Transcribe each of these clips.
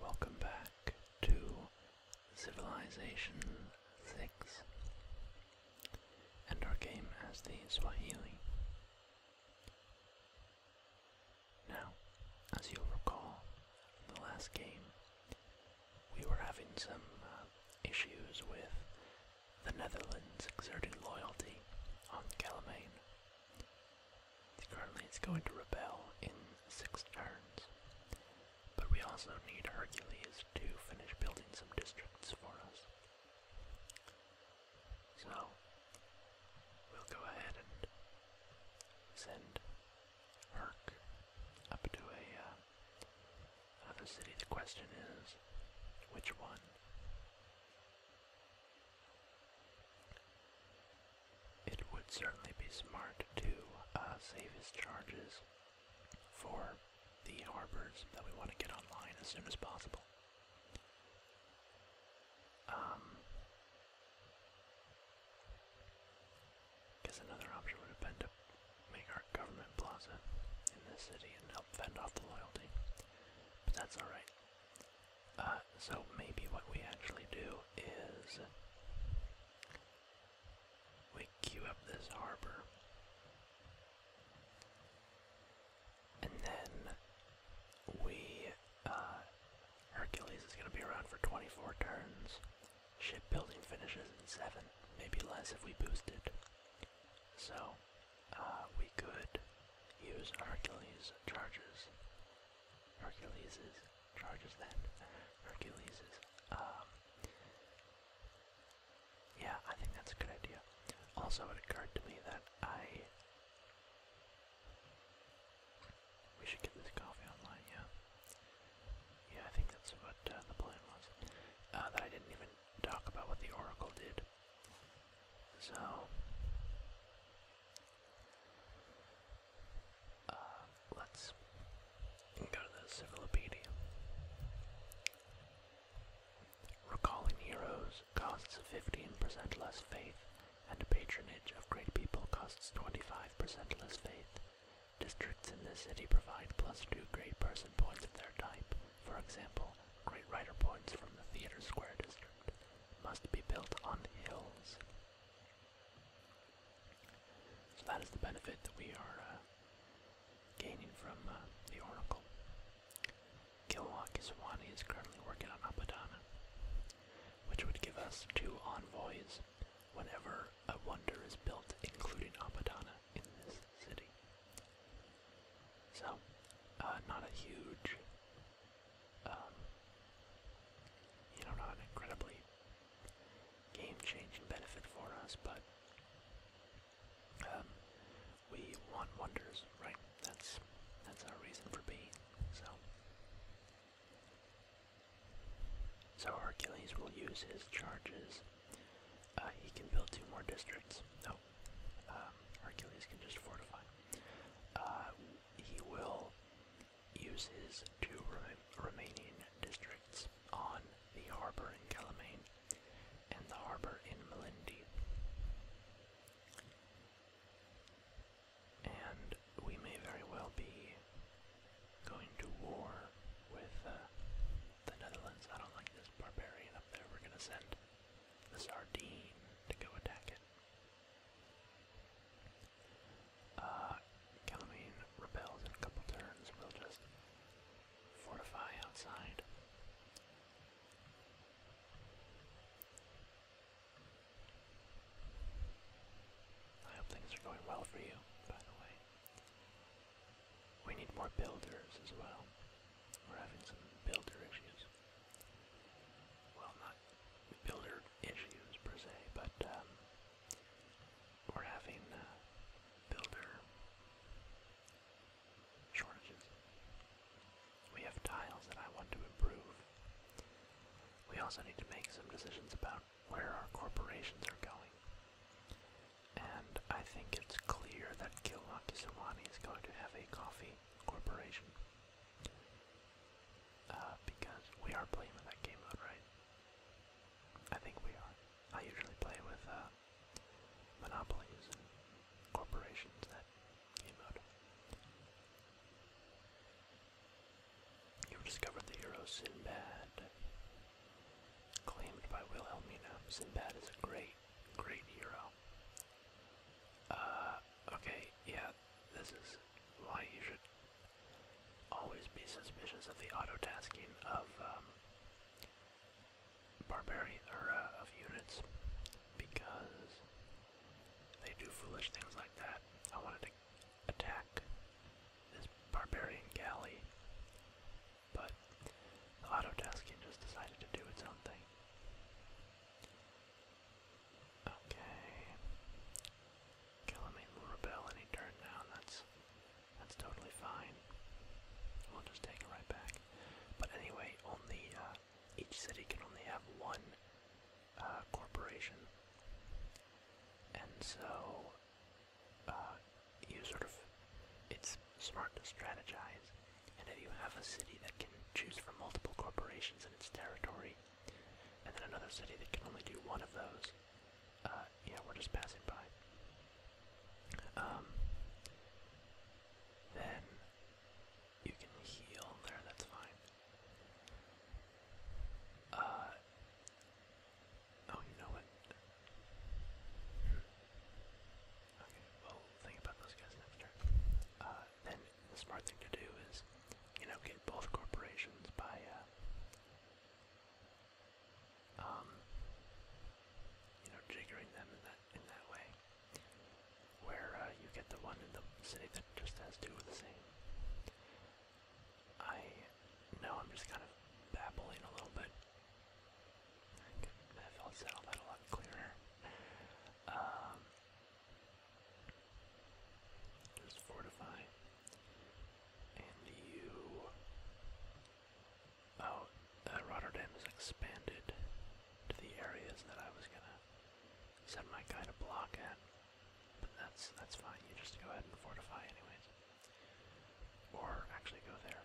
Welcome back to Civilization 6 and our game as the Swahili. Now, as you'll recall from the last game, we were having some uh, issues with the Netherlands exerted loyalty on Calamain. Currently, it's going to rebel in six turns. But we also need Hercules to finish building some districts for us. So, we'll go ahead and send Herc up to a, uh, another city. The question is, which one? It would certainly be smart to uh, save his charges for the harbors that we want to get online as soon as possible. Um, another option would have been to make our government plaza in this city and help fend off the loyalty, but that's all right. Uh, so maybe what we actually do is we queue up this harbor. And then we, uh, Hercules is going to be around for 24 turns. Shipbuilding finishes in 7, maybe less if we boost it. So, uh, we could use Hercules charges. Hercules's charges then. Hercules's. Um, yeah, I think that's a good idea. Also, it occurred to me that I. We should get this coffee online, yeah. Yeah, I think that's what uh, the plan was. Uh, that I didn't even talk about what the Oracle did. So, uh, let's go to the Civilopedia. Recalling heroes costs 15% less faith, and patronage of great people costs 25% less faith. Districts in the city provide plus two great person points of their type, for example, great writer points from the Theater Square district must be built on hills. So that is the benefit that we are uh, gaining from uh, the Oracle. Kilwa Kiswani is currently working on Apadana, which would give us two envoys whenever a wonder is built, including Apadana, in this city. So, uh, not a huge um, you know, not an incredibly game-changing benefit for us, but um, we want wonders, right? That's that's our reason for being. So, so Hercules will use his charges. Uh, he can build two more districts. Oh, so um, Hercules can just fortify. Uh, he will use his two remaining districts on the harbor in Calamane and the harbor in Melindi. And we may very well be going to war with uh, the Netherlands. I don't like this barbarian up there. We're going to send the Sardine to go attack it. Uh, Calamine repels in a couple turns. We'll just fortify outside. I hope things are going well for you, by the way. We need more builders as well. We're having some builder issues well, not builder issues per se, but um, we're having uh, builder shortages. We have tiles that I want to improve. We also need to make some decisions about where our corporations are going. And I think it's clear that Kilwaki Sawani is going to have a coffee corporation. Uh, because we are playing with that game mode, right? I think we are. I usually play with uh, monopolies and corporations that game mode. You've discovered the hero Sinbad. Claimed by Wilhelmina, Sinbad is a gray great, hero. Uh, okay, yeah, this is why you should always be suspicious of the auto of, um, barbarian, or, uh, of units, because they do foolish things like that. I wanted to attack this barbarian galley, but the auto just decided to do its own thing. Okay. Calamine will rebel any turn now, and that's that's totally fine. We'll just take it right back. But anyway, only uh, each city can only have one uh, corporation, and so uh, you sort of it's smart to strategize and if you have a city that can choose from multiple corporations in its territory, and then another city that can only do one of those, yeah, uh, we're just passing by. Um, then you can heal there, that's fine. Uh, oh, you know what? Hmm. Okay, we think about those guys next uh, then the smart thing to do is, you know, get both corporations by, uh, um, you know, jiggering them in that in that way, where uh, you get the one in the city that just has two of the same. I know I'm just kind of babbling a little bit. I could that a lot clearer. Um, there's fortify. And you. Oh, Rotterdam has expanded to the areas that I was gonna send my guy to block at. But that's that's fine. You just go ahead and fortify, anyways. Or actually go there.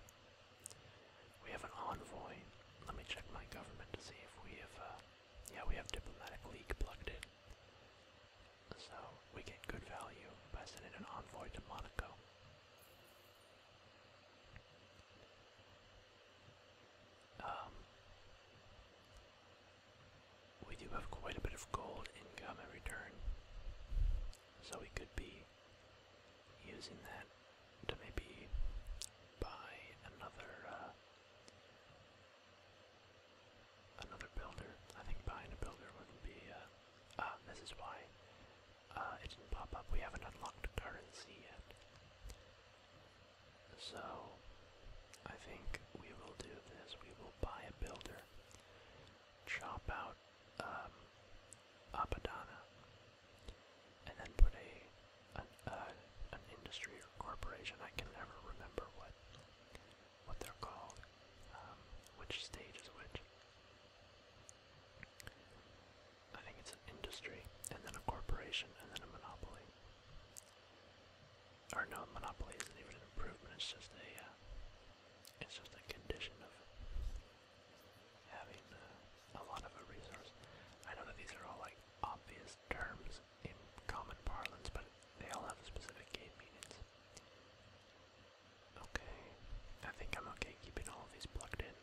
We have an envoy. Let me check my government to see if we have uh, yeah, we have diplomatic league So we get good value by sending an envoy to Monaco. Um, we do have quite a bit of gold income in return, so we could be using that to maybe buy another uh, Another builder. I think buying a builder wouldn't be. Uh, uh, this is why uh, it didn't pop up. We haven't unlocked currency yet. So, I think we will do this. We will buy a builder, chop out um, Apadana, and then put a uh, an, industry or corporation. I can never remember what what they're called, um, which stage is which. I think it's an industry, and then a corporation, and then a monopoly. Or no, monopoly isn't even an improvement. It's just a uh, it's just a condition of having uh, a lot of a resource. I know that these are all like obvious terms in common parlance, but they all have specific meanings. Okay, I think I'm okay keeping all of these plugged in,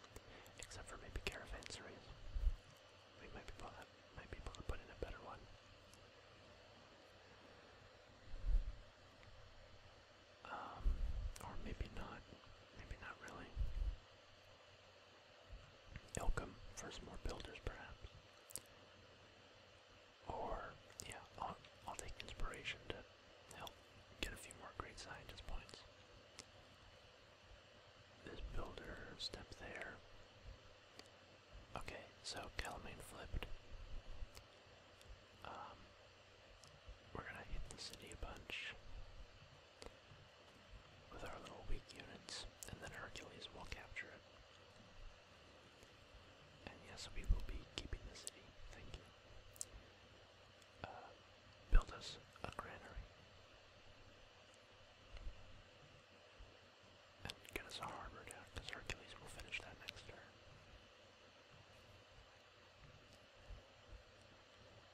except for maybe caravanseries. We might be able might be able to put in a better one. Um, or maybe not. Maybe not really. Ilkham for some more builders, perhaps. Or, yeah, I'll, take inspiration to help get a few more great scientist points. This builder, step there. Okay, so Calamine flipped. Um, we're gonna hit the city a bunch with our little weak units, and then Hercules will capture it. And yes, we will be keeping the city. Thank you. Uh, build us a granary. And get us a harbor down, because Hercules will finish that next turn.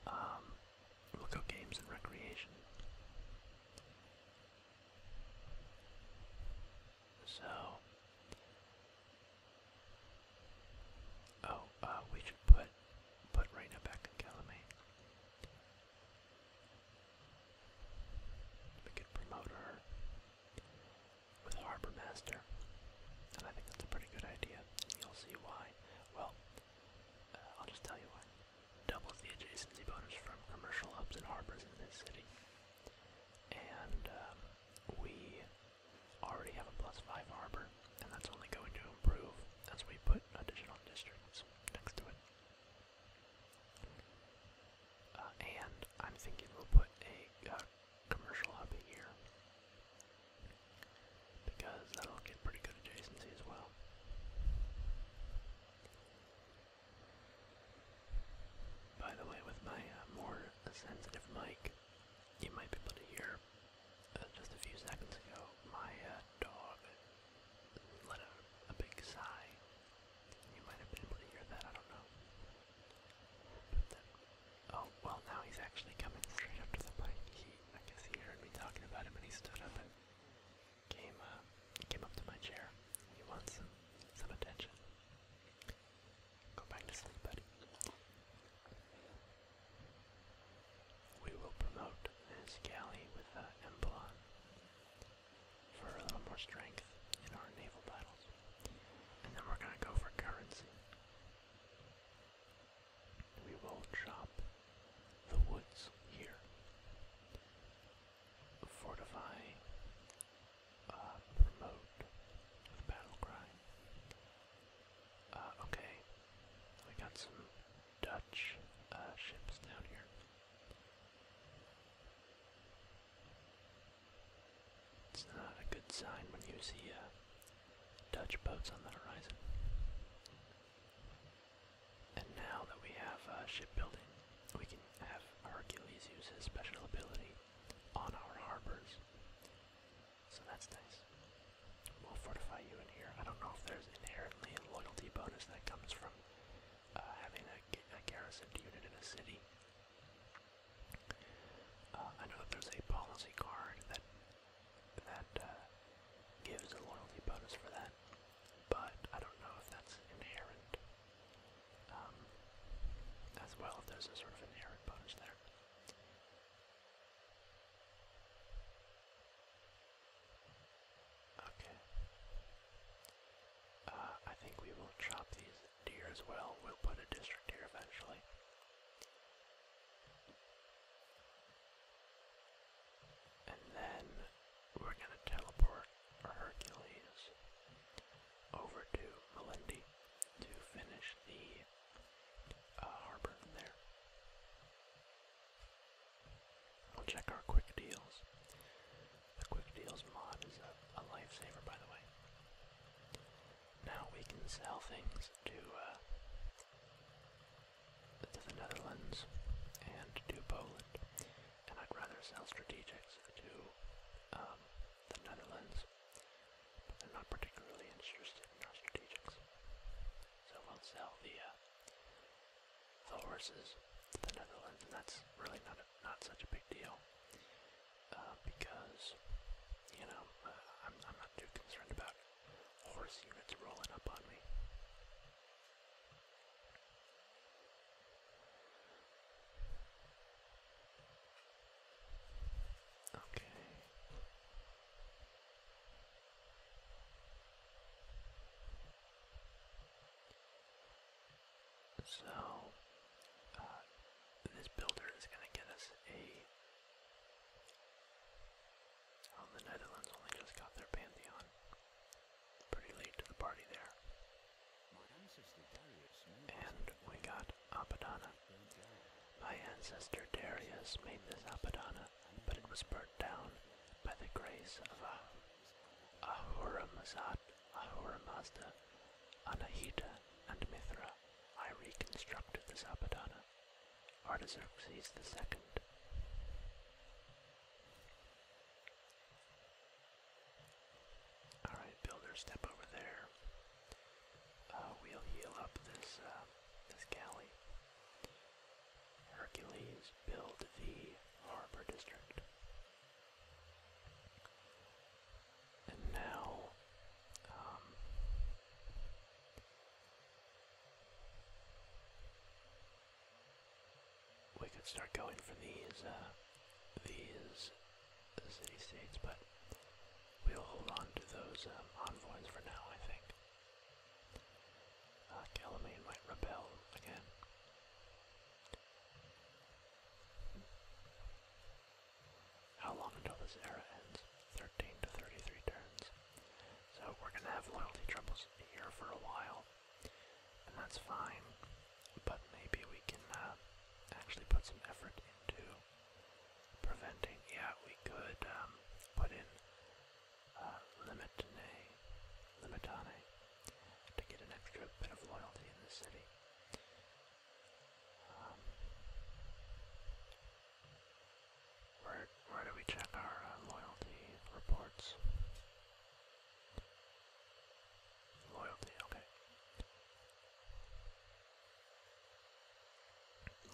Um, we'll go games and recreation. So, oh, uh, we should put put Reyna back in Calamay. We could promote her with Harbor Master, and I think that's a pretty good idea. You'll see why. Well, uh, I'll just tell you why doubles the adjacency bonus from commercial hubs and harbors in this city. And um, we already have a plus 5 harbor, and that's only going to improve as we put additional districts next to it. Uh, and I'm thinking we'll put a uh, commercial hub here because that'll get pretty good adjacency as well. By the way, with my uh, more sensitive mic, you might be able to hear uh, just a few seconds ago my uh, dog let out a big sigh. You might have been able to hear that, I don't know. But then, oh, well, now he's actually coming straight up to the mic. He, I guess he heard me talking about him and he stood up and uh, came up to my chair. He wants some, attention. Go back to sleep, buddy. We will promote his galley with uh, Emblon for a little more strength in our naval battles. And then we're gonna go for currency. We will chop the woods here fortify, uh, promote with battle cry. Uh, okay, we got some Dutch uh, ships down here. It's not a good sign when you see Dutch boats on the horizon. And now that we have uh, shipbuilding, we can have Hercules use his special ability on our harbors. So that's nice. We'll fortify you in here. I don't know if there's inherently a loyalty bonus that comes from uh, having a, a garrisoned unit in a city. Uh, I know that there's a policy card that that uh, gives a loyalty bonus for that but I don't know if that's inherent. Um, as well, if there's a sort of inherent bonus there. Okay. Uh, I think we will chop these deer as well. We'll put a district here eventually. And then we're going to teleport Hercules over to Melindy to finish the uh, harbor there. We'll check our quick deals. The quick deals mod is a, lifesaver, by the way. Now we can sell things to uh, to the Netherlands and to Poland and I'd rather sell strategics to um, the Netherlands, but they're not particularly interested in our strategics. So we'll sell the uh, the horses to the Netherlands, and that's really not a, not such a big deal uh, because you know uh, I'm I'm not too concerned about horse units rolling up on me. Okay. So, uh, this builder is going to get us a. Oh, the Netherlands only just got their Pantheon pretty late to the party there. And we got Apadana. My ancestor Darius made this Apadana, but it was burnt down by the grace of ah Ahura Mazat, Ahura Mazda, Anahita, and Mithra. I reconstructed the Apadana. Artaxerxes the Second. Alright, builder, step over there. Uh, we'll heal up this, uh, this galley. Hercules, build the harbor district. And now, um, we could start going for these uh, these city states, but we'll hold on to those um, envoys for now. I think uh, Calamine might rebel again. How long until this era ends? 13 to 33 turns. So we're gonna have loyalty troubles here for a while and that's fine. But maybe we can uh, actually put some effort into preventing. Yeah, we could um, put in uh, Limitane, Limitane to get an extra bit of loyalty in the city. Um, where, where do we check our uh, loyalty reports? Loyalty, okay.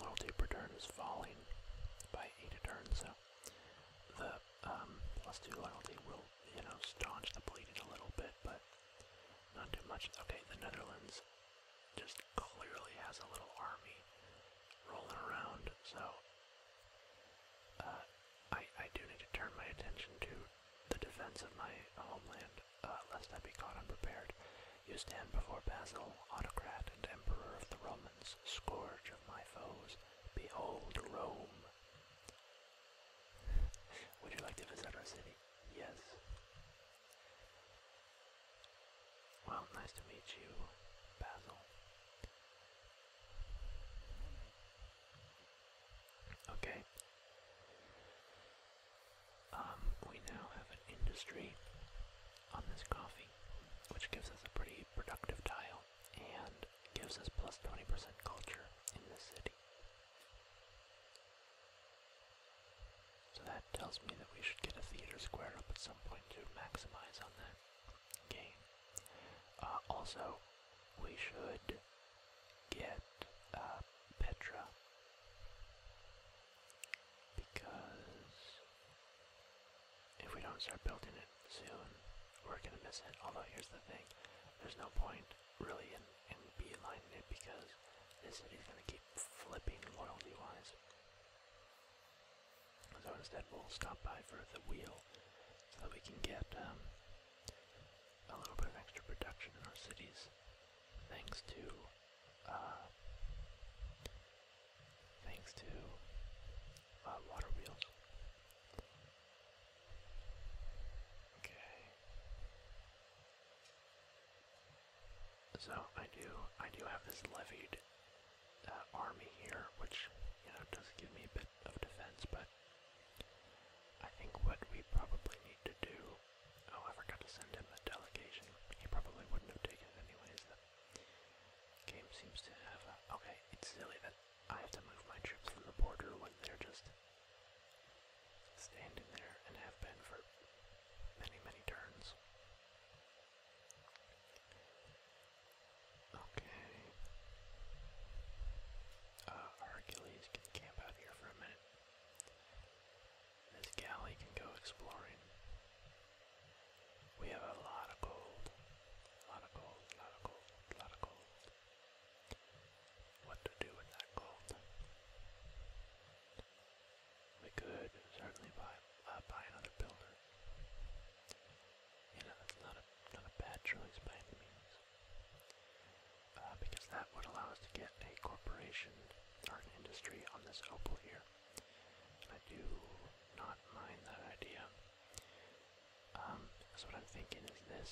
Loyalty per is falling by 8 a so the um, 2 loyalty will, you know, staunch the bleeding a little bit, but not too much. Okay, the Netherlands just clearly has a little army rolling around, so uh, I, do need to turn my attention to the defense of my homeland, uh, lest I be caught unprepared. You stand before Basil, autocrat and emperor of the Romans, scourge of my foes. Behold Rome. Would you like to visit our city? Yes. Well, nice to meet you, Basil. Okay. Um, we now have an industry on this coffee, which gives us a pretty productive tile and gives us plus 20% culture in the city. So that tells me that we should get a theater square up at some point to maximize on that gain. Uh, also, we should get uh, Petra because if we don't start building it soon, we're gonna miss it. Although here's the thing, there's no point really in, in beelining it because this city's gonna keep flipping loyalty-wise. So instead, we'll stop by for the wheel so that we can get um, a little bit of extra production in our cities thanks to uh, thanks to uh, water wheels. Okay. So I do I do have this levied uh, army here, which you know does give me a bit of defense, but I think what we probably need to do. Oh, I to send him a delegation. He probably wouldn't have taken it anyways. game seems to have a. Uh, okay, it's silly that I have to move my troops from the border when they're just standing there and have been for many, many turns. Okay. Uh, Hercules can camp out here for a minute. This galley can go exploring. We have a lot of gold. lot of gold, lot of gold, lot of gold. What to do with that gold? We could certainly buy uh, buy another builder. You know, that's not a not a bad choice by any means. Uh, because that would allow us to get a corporation or an industry on this opal here. I do not mind that idea. That's um, what I'm thinking is this.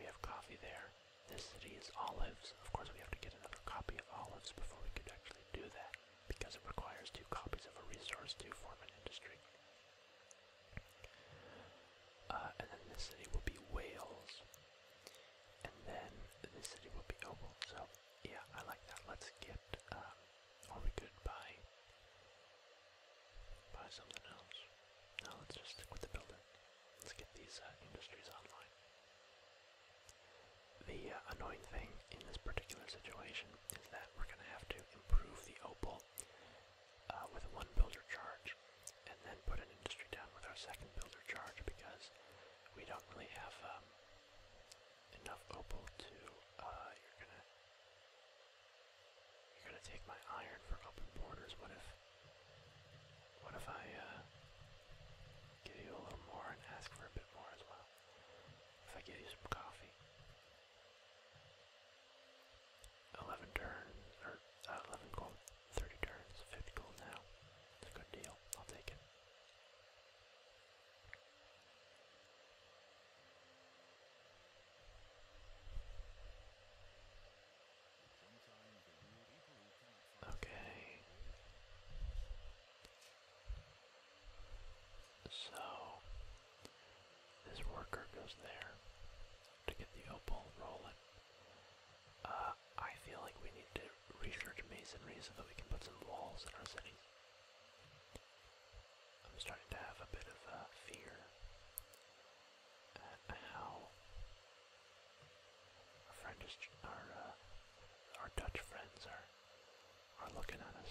We have coffee there. This city is olives. Of course, we have to get another copy of olives before we could actually do that, because it requires two copies of a resource to form an industry. Uh, and then this city will be Wales. And then this city will be Oval. So, yeah, I like that. Let's get, um, we good by, by something else? No, let's just stick the building. Let's get these uh, industries online. The uh, annoying thing in this particular situation is that we're going to have to improve the opal uh, with one builder charge, and then put an industry down with our second builder charge because we don't really have um, enough opal to. Uh, you're gonna you're gonna take my iron for open borders. What if what if I uh, give you a little more and ask for a bit more as well? If I give you some coffee. 11 turns, or uh, 11 gold, 30 turns, 50 gold now. It's a good deal. I'll take it. Okay. So, this worker goes there to get the opal rolling. Uh, I feel like we need to research masonry so that we can put some walls in our city. I'm starting to have a bit of a uh, fear at how uh, our Dutch friends are are looking at us.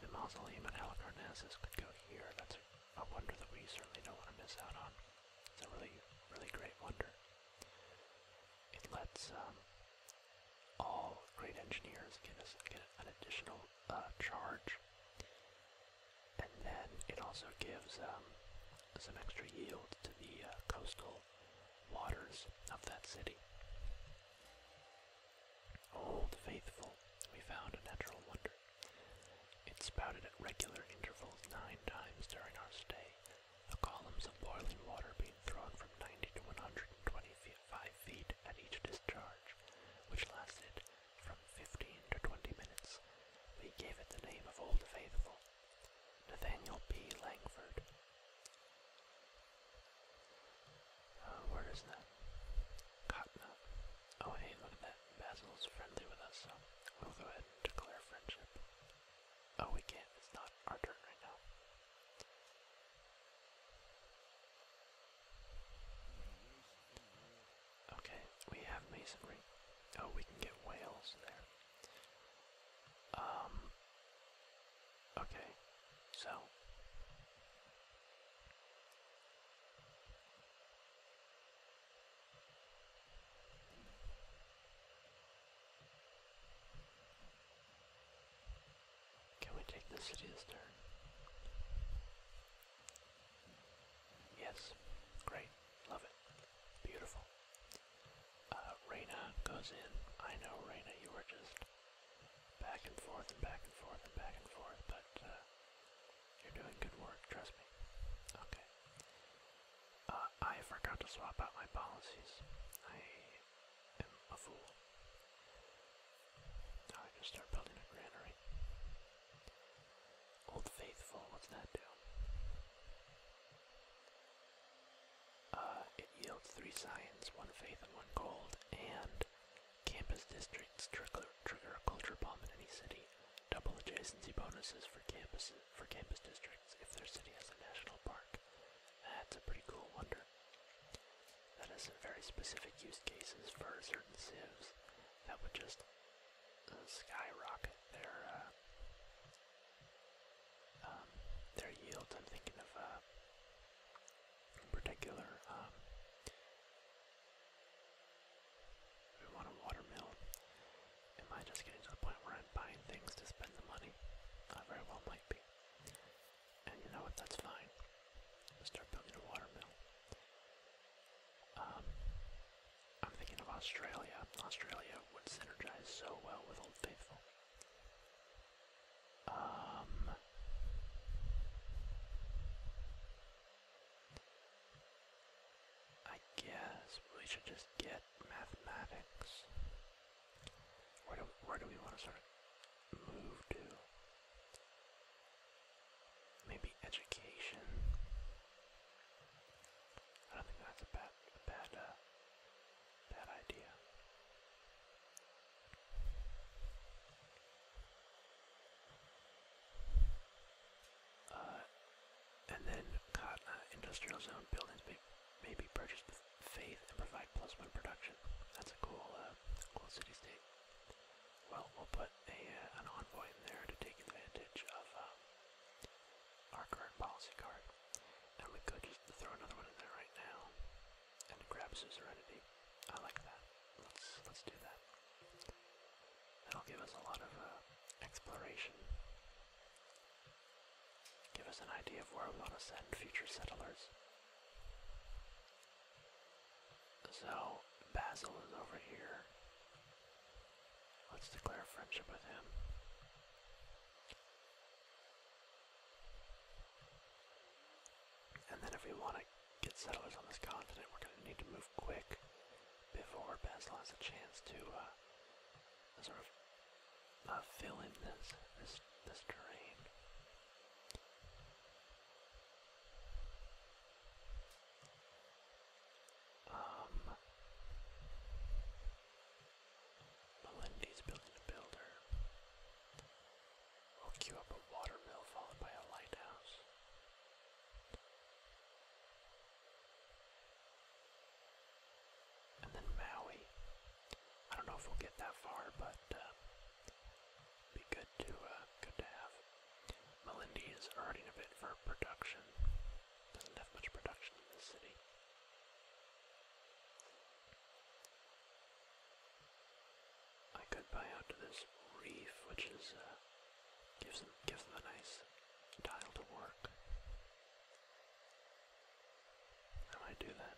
the mausoleum at Halicarnassus could go here a wonder that we certainly don't want to miss out on. It's a really, really great wonder. It lets um, all great engineers get, us, get an additional uh, charge, and then it also gives um, some extra yield to the uh, coastal waters of that city. Old Faithful, we found a natural wonder. It spouted at regular intervals nine times during our stay, the columns of boiling water being thrown from 90 to 125 feet at each discharge, which lasted from 15 to 20 minutes. We gave it the name of Old Faithful. Nathaniel P. Langford. Uh, where is that? Cotton. Oh, hey, look at that. Basil's friendly with us, so we'll go ahead and declare friendship. Oh, we can't. It's not our turn right now. Okay, we have masonry. Oh, we can get whales there. Um. Okay, so. Can we take the city this turn? Yes. Great. Love it. Beautiful. Uh, Reina goes in. I know, Reina, you were just back and forth and back and forth and back and forth, but uh, you're doing good work, trust me. Okay. Uh, I forgot to swap out my policies. I am a fool. Now I can start building a granary. Old Faithful, what's that do? Uh, it yields three science, one faith, and one gold, and campus districts trigger, trigger a culture bomb in any city double adjacency bonuses for campus for campus districts if their city has a national park. That's a pretty cool wonder. That has some very specific use cases for certain civs that would just uh, skyrocket their uh, um, their yields. I'm thinking of uh, in particular um, we want a watermelon. Am I just getting to the point where I'm buying things to spend the money? I very well might be. And you know what? That's fine. start building a watermill. Um, I'm thinking of Australia. Australia would synergize so well with Old Faithful. Um, I guess we should just get mathematics. Where do we, where do we want to sort of move to? Maybe education. I don't think that's a bad a bad uh, bad idea. Uh, and then industrial zone buildings may, may be faith and provide plus one production. That's a cool, uh, cool city state. Well, we'll put a, uh, an envoy there to take advantage of um, our current policy card. And we could just throw another one in there right now and grab suzerainty. I like that. Let's let's do that. That'll give us a lot of uh, exploration. Give us an idea of where we want to send future settlers. So, Basil is over here. Let's declare friendship with him. And then if we want to get settlers on this continent, we're going to need to move quick before Bessel has a chance to uh, sort of uh, fill in this this this terrain. Um, Melindy's building a builder. We'll queue up a watermill followed by a lighthouse. And then Maui. I don't know if we'll get that far, but uh, be good to uh, good to have. Malindi is earning a bit for production. Doesn't have much production in this city. I could buy out this reef, which is uh, gives them gives them a nice this dial to work. How do do that?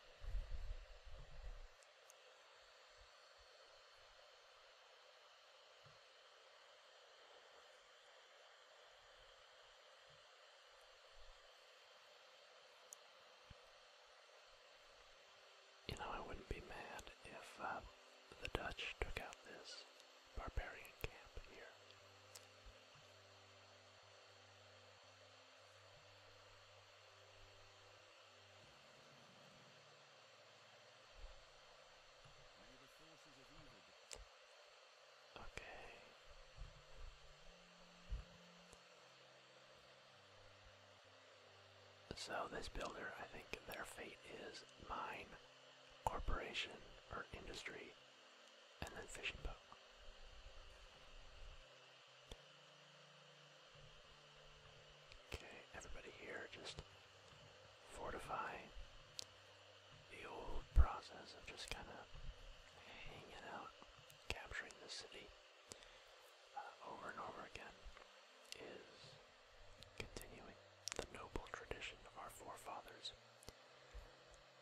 You know, I wouldn't be mad if uh, the Dutch took out this barbarian camp here. Okay. So this builder, I think their fate is mine corporation or industry, and then fishing boat. Okay, everybody here just fortify the old process of just kind of hanging out, capturing the city uh, over and over again Continuing the noble tradition of our forefathers.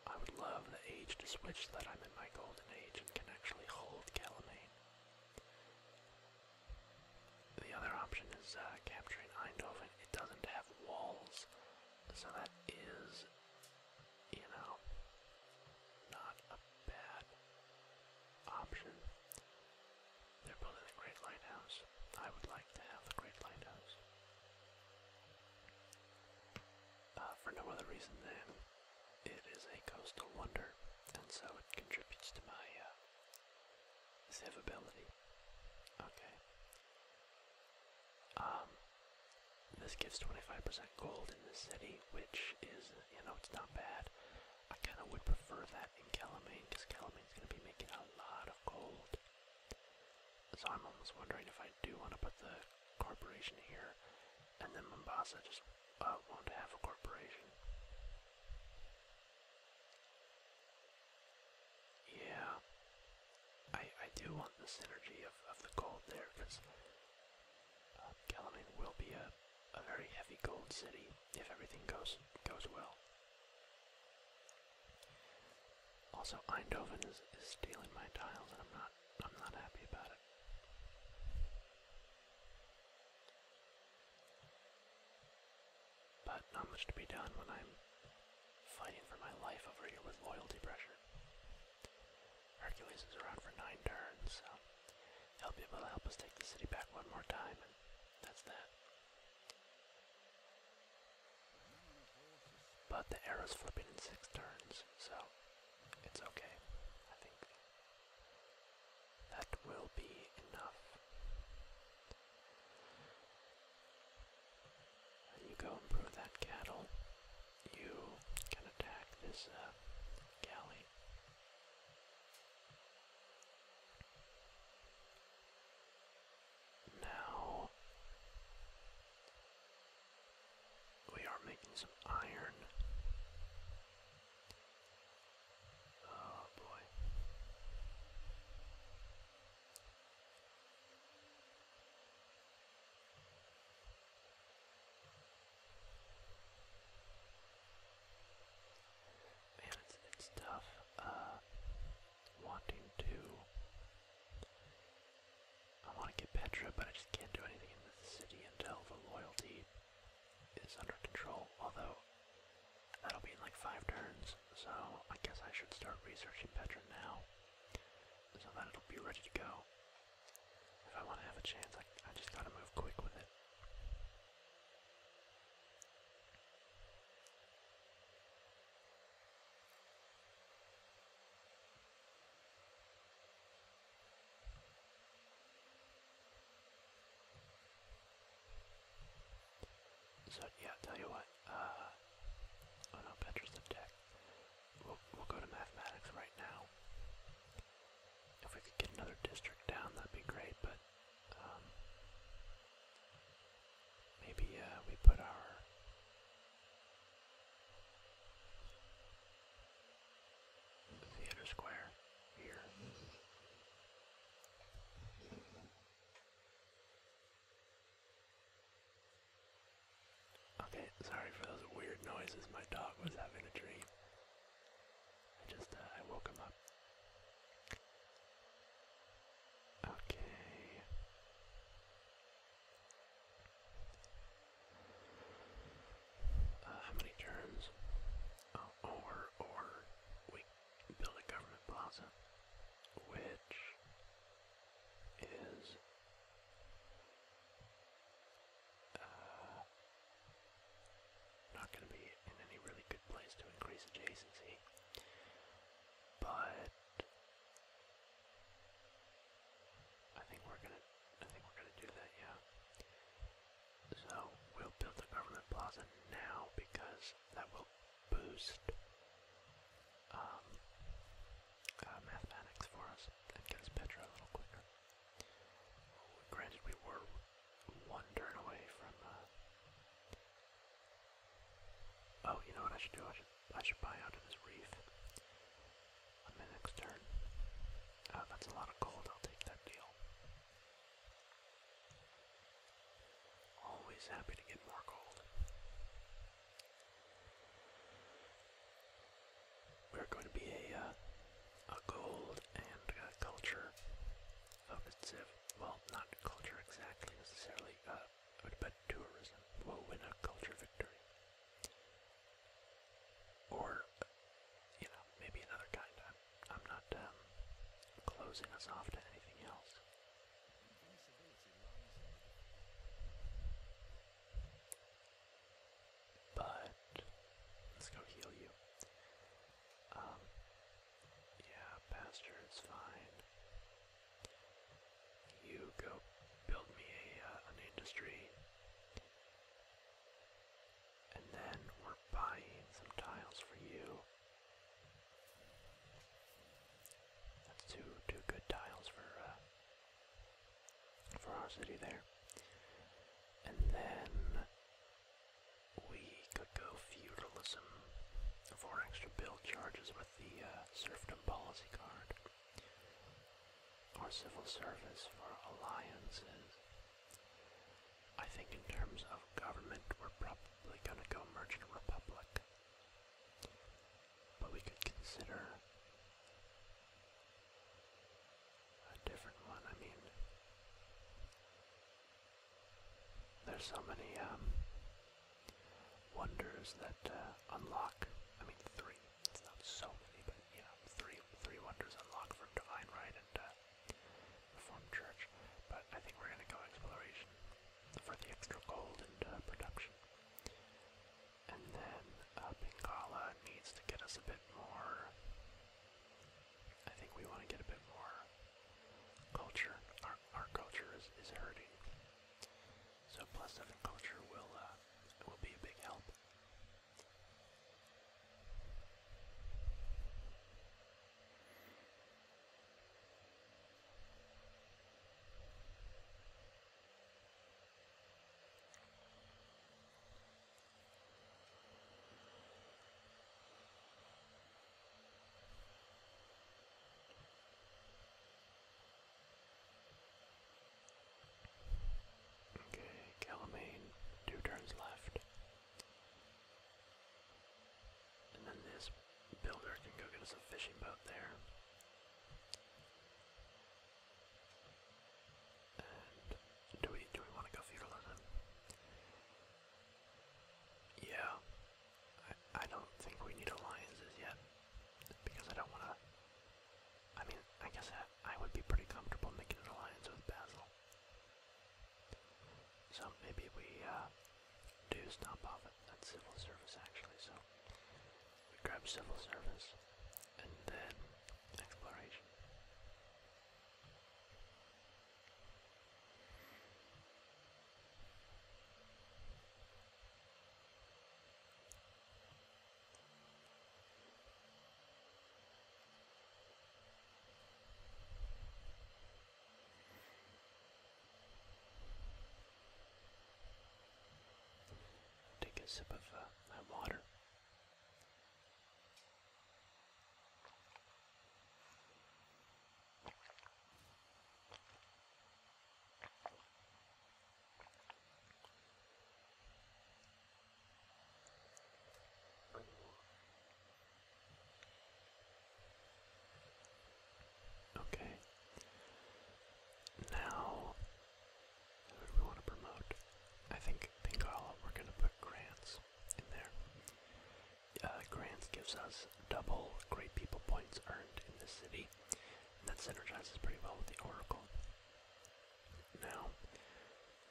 I would love the age to switch so that I'm in my golden age and can actually hold Calamane. The other option is uh, capturing Eindhoven. It doesn't have walls, so that is, you know, not a bad option. They're building a great lighthouse. I would like to have the great lighthouse. Uh, for no other reason than it is a coastal wonder, and so it contributes to my survivability. Uh, okay. Um, this gives 25% gold in the city, which is, you know, it's not bad. I kind of would prefer that in Calamine, because Calamine's going to be making a lot of gold. So I'm almost wondering if I do want to put the corporation here, and then Mombasa just uh, won't have a corporation. Yeah, I I do want the synergy of of the gold there because uh, will be a a very heavy gold city if everything goes goes well. Also, Eindhoven is, stealing my tiles, and I'm not I'm not happy about it. But not much to be done when I'm fighting for my life over here with loyalty pressure. Hercules is around for nine turns, so he'll be able to help us take the city back one more time, that's that. But the arrow's flipping in six turns, so it's okay. I think that will be enough. you go improve that cattle. You can attack this uh, galley. Now we are making some iron. Oh boy. Man, it's, tough. Uh, wanting to. I want to get Petra, but I just can't do anything in the city until the loyalty is under control. Although, that'll be in like five turns, so I guess I should start researching Petra now so that it'll be ready to go. If I want to have a chance, I, I just gotta move quick with it. So yeah, tell you what, uh, oh no, Petra's tech. We'll, we'll go to mathematics right now. If we could get another district down, that'd be great, but, um, Maybe uh, we put our theater square here. Okay, sorry for those weird noises. My dog was having a dream. I just uh, I woke him up. Okay. Uh, how many turns? Oh, or, or we build a government plaza, which is uh, not going to be in any really good place to increase adjacency, but I think we're gonna I think we're gonna do that, yeah. So we'll build a government plaza now because that will boost um, uh, mathematics for us and get us Petra a little quicker. Granted, we were one turn away from uh, Oh, you know what I should do? I should I should buy out of this reef on my next turn. Oh, that's a lot of gold. I'll take that deal. Always happy to get more gold. We're going to be a uh, a gold and uh, culture focused civ. Well, not culture exactly necessarily. Uh, but, but tourism will win a culture victory. Or, you know, maybe another kind. I'm, I'm not um, closing us off to anything else. But let's go heal you. Um, yeah, pasture is fine. You go build me a, uh, an industry. And then we're buying some tiles for you. That's two two good tiles for uh, for our city there. And then we could go feudalism for extra build charges with the uh, serfdom policy card or civil service for alliances. I think in terms of government, we're probably going to go merchant republic, but we could consider a different one. I mean, there's so many um, wonders that uh, unlock. I mean, three. It's not so many, but you know, three three wonders unlock from Divine Right and uh, Church. But I think we're gonna go exploration for the extra gold and uh, production. And then uh, Bengala needs to get us a bit more. I think we want to get a bit more culture. Our, our culture is, is hurting. So plus seven culture will uh, will be a big help. Okay, Calamane, two turns left. And then this builder can go get us a fishing boat there. do we do we want to go feudalism? Yeah, I, don't think we need alliances yet because I don't want to. I mean, I guess I, would be pretty comfortable making an alliance with Basil. So maybe we uh, do stop off at, at civil service actually. So we grab civil service and then exploration. Take a sip of uh, that water. Okay. Now, who do we want to promote? I think Pingala, we're going to put Grants in there. Uh, grants gives us double great people points earned in this city, that synergizes pretty well with the Oracle. Now,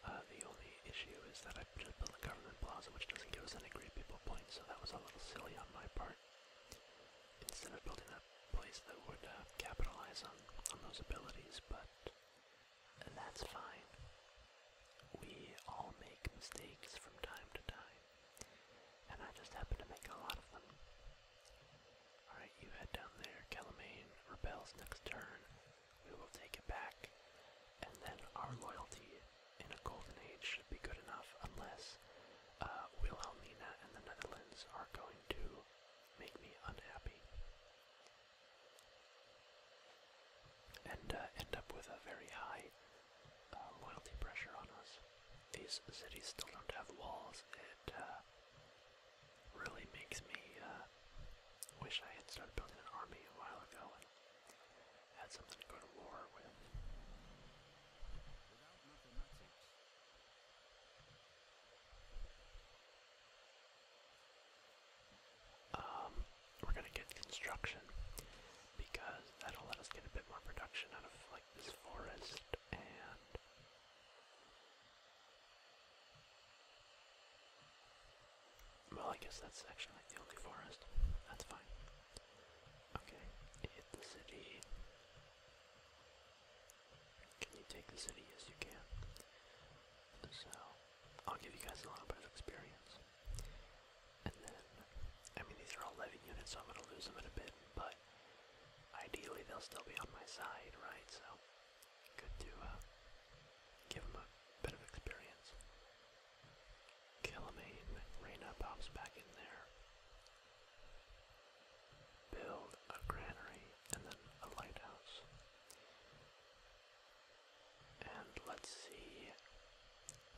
uh, the only issue is that I just built a government plaza, which doesn't give us any great people points, so that was a little silly on my part. Instead of building a place that would uh, capitalize on, on those abilities, but that's fine. We all make mistakes from time to time, and I just happen to make a lot of them. Alright, you head down there. Calamane rebels next turn. We will take it back. And then our loyalty in a golden age should be good enough unless uh, Wilhelmina and the Netherlands are going to make me unhappy. And uh, end up with a very high uh, loyalty pressure on us. These cities still don't have walls, it uh, really makes me uh, wish I had started building an army a while ago and had something to go to war with. Um, we're gonna get construction because that'll let us get a bit more production out of like this forest and well, I guess that's actually like the only forest. That's fine. Okay, hit the city. Can you take the city? Yes, you can. So, I'll give you guys a little of experience. And then, I mean, these are all 11 units, so I'm going to lose them in a bit, but ideally they'll still be on my side, right? So good to uh, give them a bit of experience. Killamane, eh? Reyna pops back in there. Build a granary and then a lighthouse. And let's see.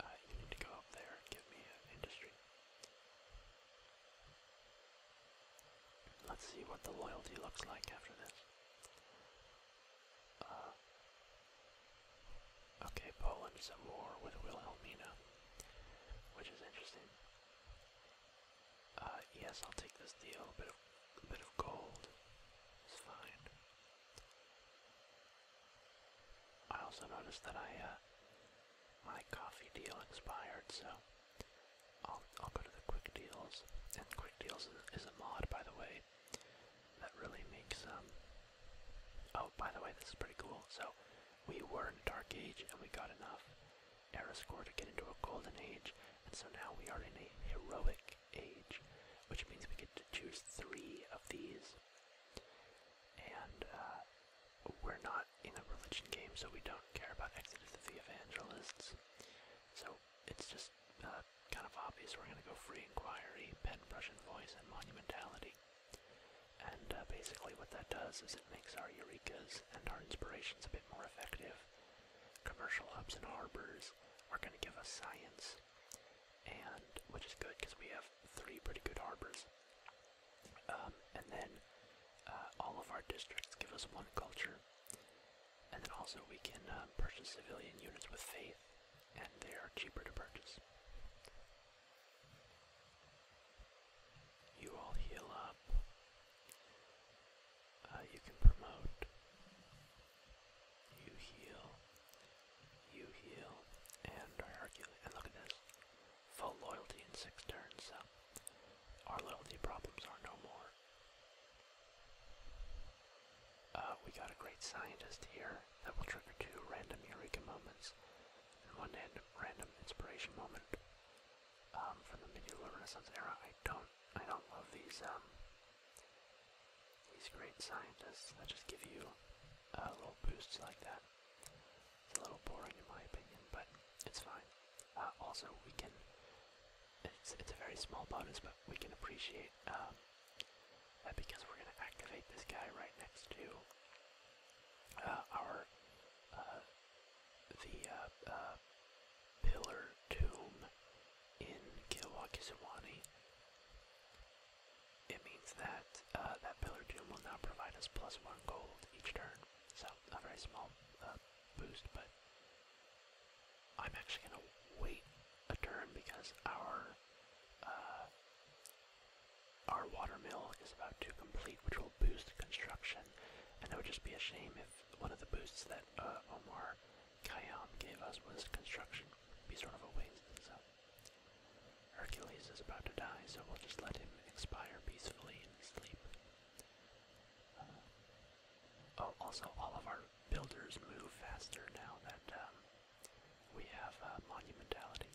Uh, you need to go up there and give me industry. Let's see what the loyalty looks like after this. Uh, okay, Poland is at with Wilhelmina, which is interesting. Uh, yes, I'll take this deal. A bit of, gold is fine. I also noticed that I, uh, my coffee deal expired, so I'll, go to the quick deals, and quick deals is, a mod, by the way, that really makes, um, oh, by the way, this is pretty cool, so, we were in a Dark Age, and we got enough era score to get into a Golden Age, and so now we are in a Heroic Age, which means we get to choose three of these, and, uh, we're not in a religion game, so we don't care about Exodus of the Evangelists. So it's just uh, kind of obvious we're going to go Free Inquiry, Pen, Brush Voice, and Monumentality. And uh, basically what that does is it makes our Eurekas and our Inspirations a bit more effective. Commercial hubs and harbors are going to give us science, and which is good because we have three pretty good harbors. Um, and then uh, all of our districts give us one culture. And then also we can uh, purchase civilian units with faith, and they are cheaper to purchase. You all heal up. Uh, you can promote. You heal. You heal. And Hercules. And look at this. Full loyalty in six turns, our loyalty problems are no more. Uh, we got a great scientist here that will trigger two random Eureka moments and one random inspiration moment um, from the medieval Renaissance era. I don't, I don't love these um, these great scientists that just give you little boosts like that. It's a little boring in my opinion, but it's fine. Uh, also, we can. It's it's a very small bonus, but we can appreciate um, that because we're gonna activate this guy right next to uh, our uh, the pillar tomb in Kilwakisawani. It means that that pillar tomb will now provide us plus one gold each turn. So a very small uh, boost, but I'm actually gonna wait a turn because our uh, our water mill is about to complete, which will boost construction. And it would just be a shame if one of the boosts that uh, Omar Khayyam gave us was construction. it be sort of a waste. So Hercules is about to die, so we'll just let him expire peacefully in his sleep. Oh, also, all of our builders move faster now that um, we have monumentality.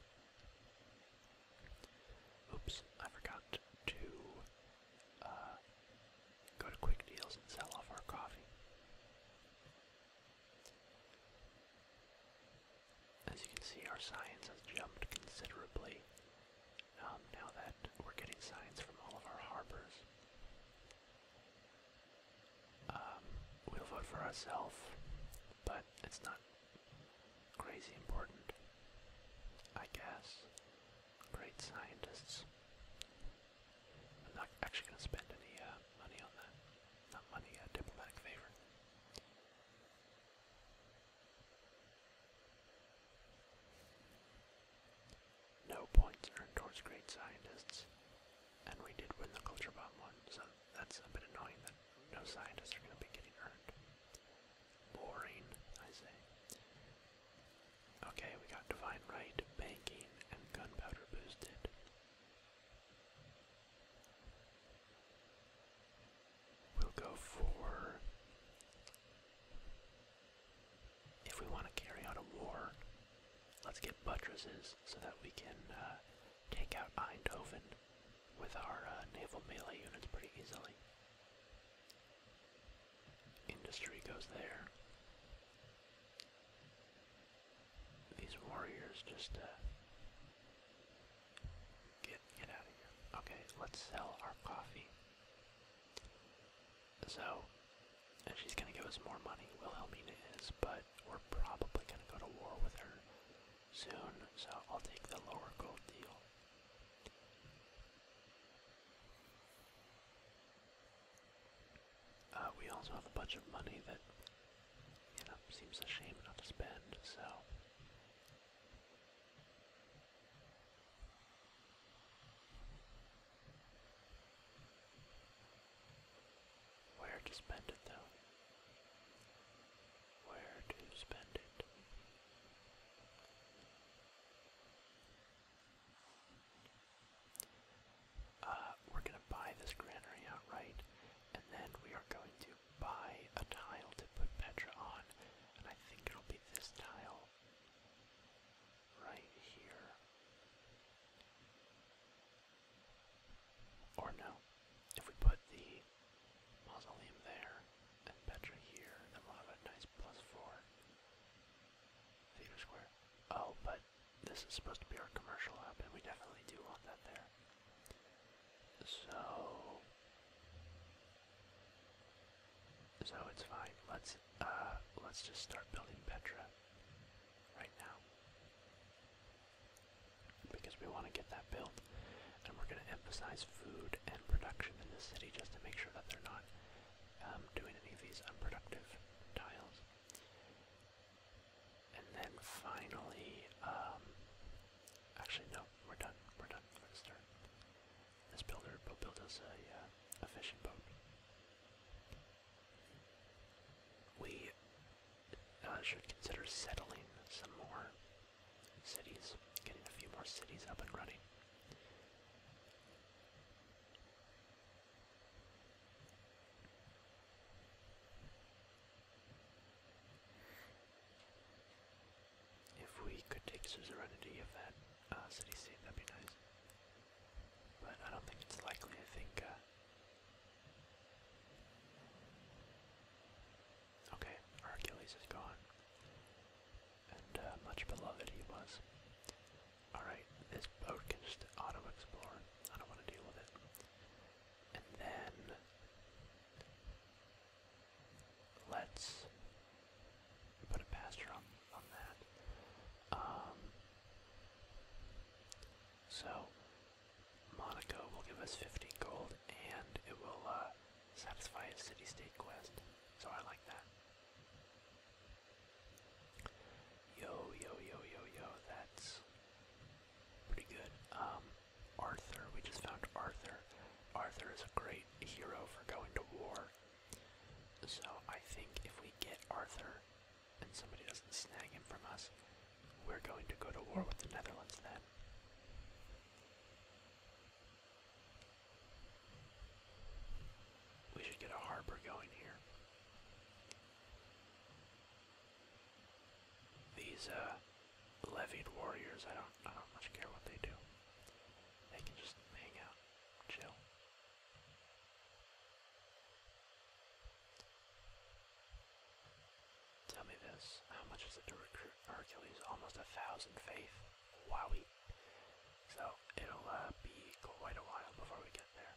Oops, I forgot to uh, go to quick deals and sell off our coffee. As you can see, our science has jumped considerably um, now that we're getting signs from all of our harbors. Um, we'll vote for ourselves, but it's not crazy important, I guess. Great scientists. I'm not actually going to spend any uh, money on that. Not money, a diplomatic favor. No points earned towards great scientists, and we did win the culture bomb one, so that's a bit annoying that no scientists are going to be getting earned. Boring, I say. Okay, we got divine right, banking, and gunpowder boosted. We'll go for. If we want to carry out a war, let's get buttresses so that we can uh, take out Eindhoven with our uh, naval melee units pretty easily. Industry goes there. These warriors just uh, get get out of here. Okay, let's sell our coffee. So, she's gonna give us more money. Wilhelmina is, but we're probably gonna go to war with her soon. So I'll take the lower gold deal. Uh, we also have a bunch of money that, you know, seems a shame not to spend. So where to spend it though? Where to spend it? Uh, we're gonna buy this granary outright, and then we are going to buy a tile to put Petra on, and I think it'll be this tile right here. Or no, if we put the mausoleum there and Petra here, then we'll have a nice plus four theater square. Oh, but this is supposed to be our commercial hub, and we definitely do want that there. So so it's fine. Let's uh, let's just start building Petra right now. Because we want to get that built. And we're gonna emphasize food and production in this city just to make sure that they're not um, doing any of these unproductive tiles. And then finally, um, actually no, we're done. We're done for this turn. This builder will build us uh, a, fishing boat. We uh, should consider settling some more cities, getting a few more cities up and running. If we could take suzerainty of that city scene, that'd be nice. But I don't think it's likely. I think. Uh, Okay, our Achilles is gone. And uh, much beloved he was. Alright, this boat can just auto explore. I don't want to deal with it. And then. Let's put a pastor on on that. Um, so Monaco will give us 15 gold, and it will uh, satisfy a city-state quest. So I like that. Yo, yo, yo, yo, yo. That's pretty good. Um, Arthur. We just found Arthur. Arthur is a great hero for going to war. So I think if we get Arthur and somebody doesn't snag him from us, we're going to go to war with the Netherlands then. We should get a harbor going here. These uh, levied warriors, I don't I don't much care what they do. They can just hang out. Chill. Tell me this, how much is it to recruit Hercules? Almost a thousand faith. Wowie. So, it'll uh, be quite a while before we get there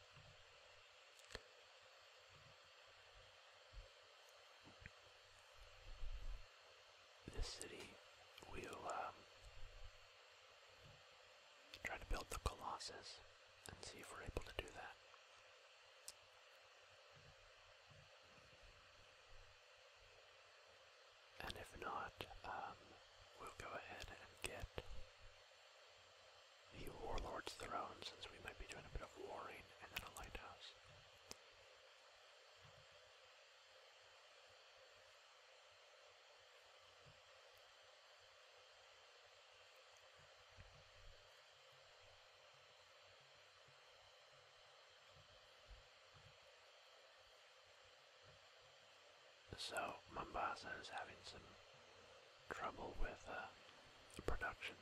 this city, we'll um, try to build the Colossus and see if we're able to do that. And if not, um, we'll go ahead and get the Warlord's Throne since we might be doing a bit of warring and then lighthouse. So, Mombasa is having some trouble with uh, the production.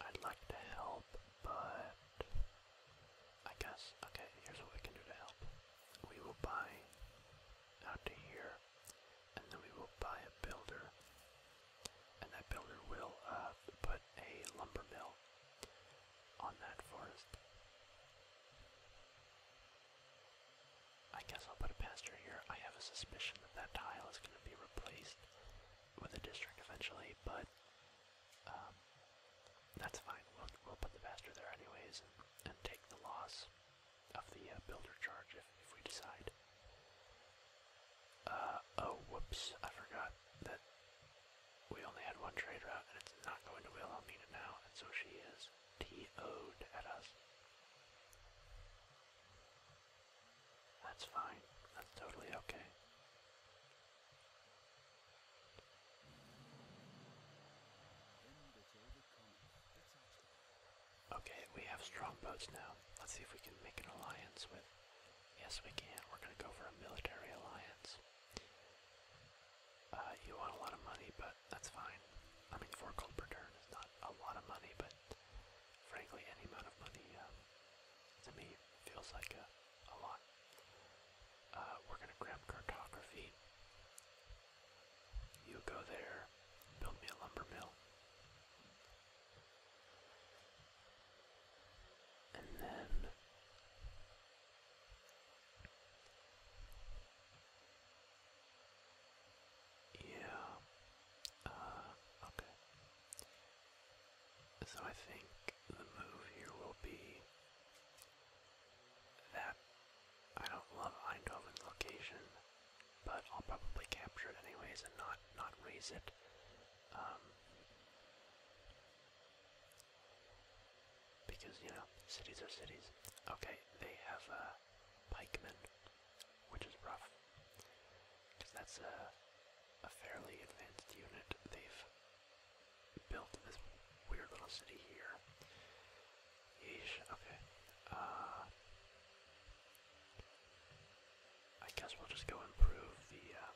I'd like to help, but I guess, okay, here's what we can do to help. We will buy out to here, and then we will buy a builder, and that builder will uh, put a lumber mill on that forest. I guess I'll put a pastor here. I have a suspicion that that tile is going to be replaced with a district eventually, but um, that's fine. We'll, put the pastor there anyways and, take the loss of the uh, builder charge if, we decide. Uh, oh, whoops, I forgot that we only had one trade route and it's not going to Wilhelmina now, and so she is to at us. That's fine. That's totally okay. Okay, we have strong boats now. Let's see if we can make an alliance with. Yes, we can. We're gonna go for a military alliance. Uh, you want a lot of money, but that's fine. I mean, four gold per is not a lot of money, but frankly, any amount of money uh, to me feels like a, lot. Uh, we're gonna grab cartography. You go there, build me a lumber mill. And then yeah. Uh, okay. So I think the move here will be that I don't love Eindhoven's location, but I'll probably capture it anyways and not not raise it. Um, because you know, cities are cities. Okay, they have uh, pikemen, which is rough. Because that's a, fairly advanced unit. They've built this weird little city here. Yeesh, okay. Uh, I guess we'll just go improve the, uh,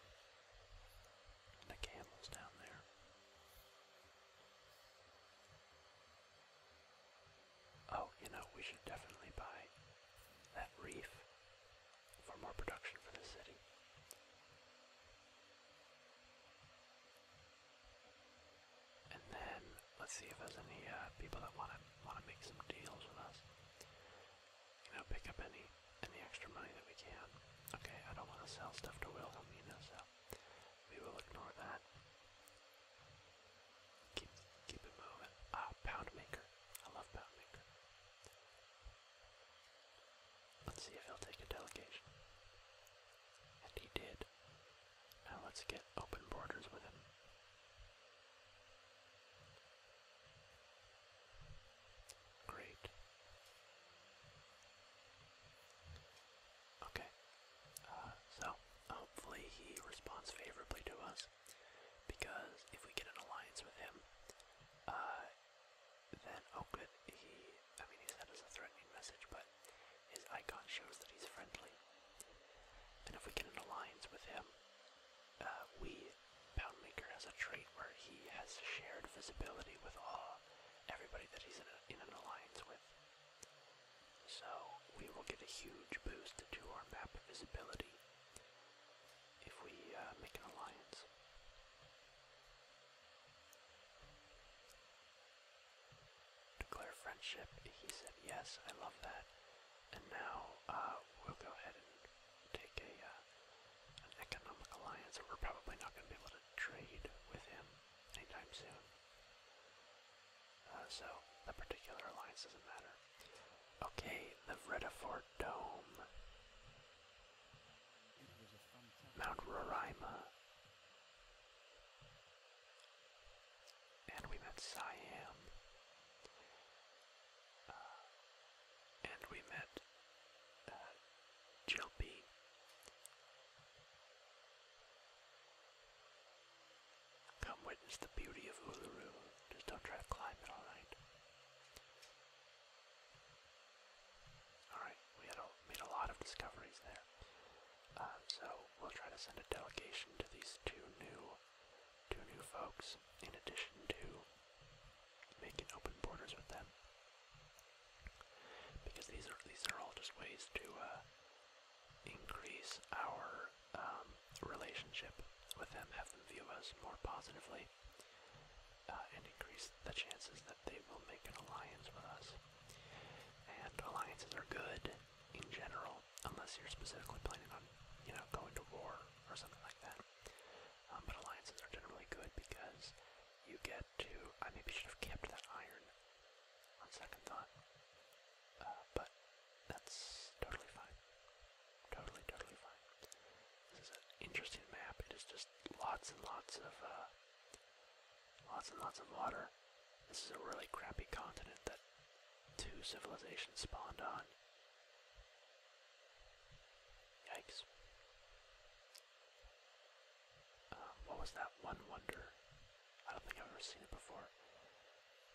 the camels down there. Oh, you know, we should definitely buy that reef for more production for the city. And then let's see if there's any uh, people that want to want to make some deals with us. You know, pick up any any extra money that we can. Okay, I don't want to sell stuff to Wilhelmina, so we will ignore that. Keep, keep moving. Ah, Poundmaker. I love Poundmaker. Let's see if he'll take a delegation. And he did. Now let's get open borders with him. Great. Okay. Uh, so hopefully he responds favorably to us because if we get an alliance with him, uh, then oh good, he, I mean he's that as a threatening message, but his icon shows that he's friendly. And if we get an alliance with him, uh, we, Poundmaker has a trait where he has shared visibility with all everybody that he's in an alliance with. So we will get a huge boost to our map visibility if we uh, make an alliance. Declare friendship. He said yes. I love that. And now uh, we'll go ahead and take uh, an economic alliance. We're probably not going to be able to trade with him anytime soon. Uh, so the particular alliance doesn't matter. Okay, the Vredafort Dome. Mount Roraima. And we met Siam. Uh, and we met uh, Come witness the beauty of Uluru. Just don't try to climb it, alright? Alright, we had a, made a lot of discoveries there. Uh, so we'll try to send a delegation to these two new, two new folks, in addition to making open borders with them. Because these are these are all just ways to uh, increase our um, relationship with them, have them view us more positively, uh, and increase the chances that they will make an alliance with us. And alliances are good in general, unless you're specifically planning on, you know, going to war or something like that. Um, but alliances are generally good because you get to. I maybe should have kept that iron. On second thought, uh, but that's totally fine. Totally, totally fine. This is an interesting map. It is just lots and lots of, uh, lots and lots of water. This is a really crappy continent that two civilizations spawned on. Yikes. Um, what was that one wonder? I don't think I've ever seen it before.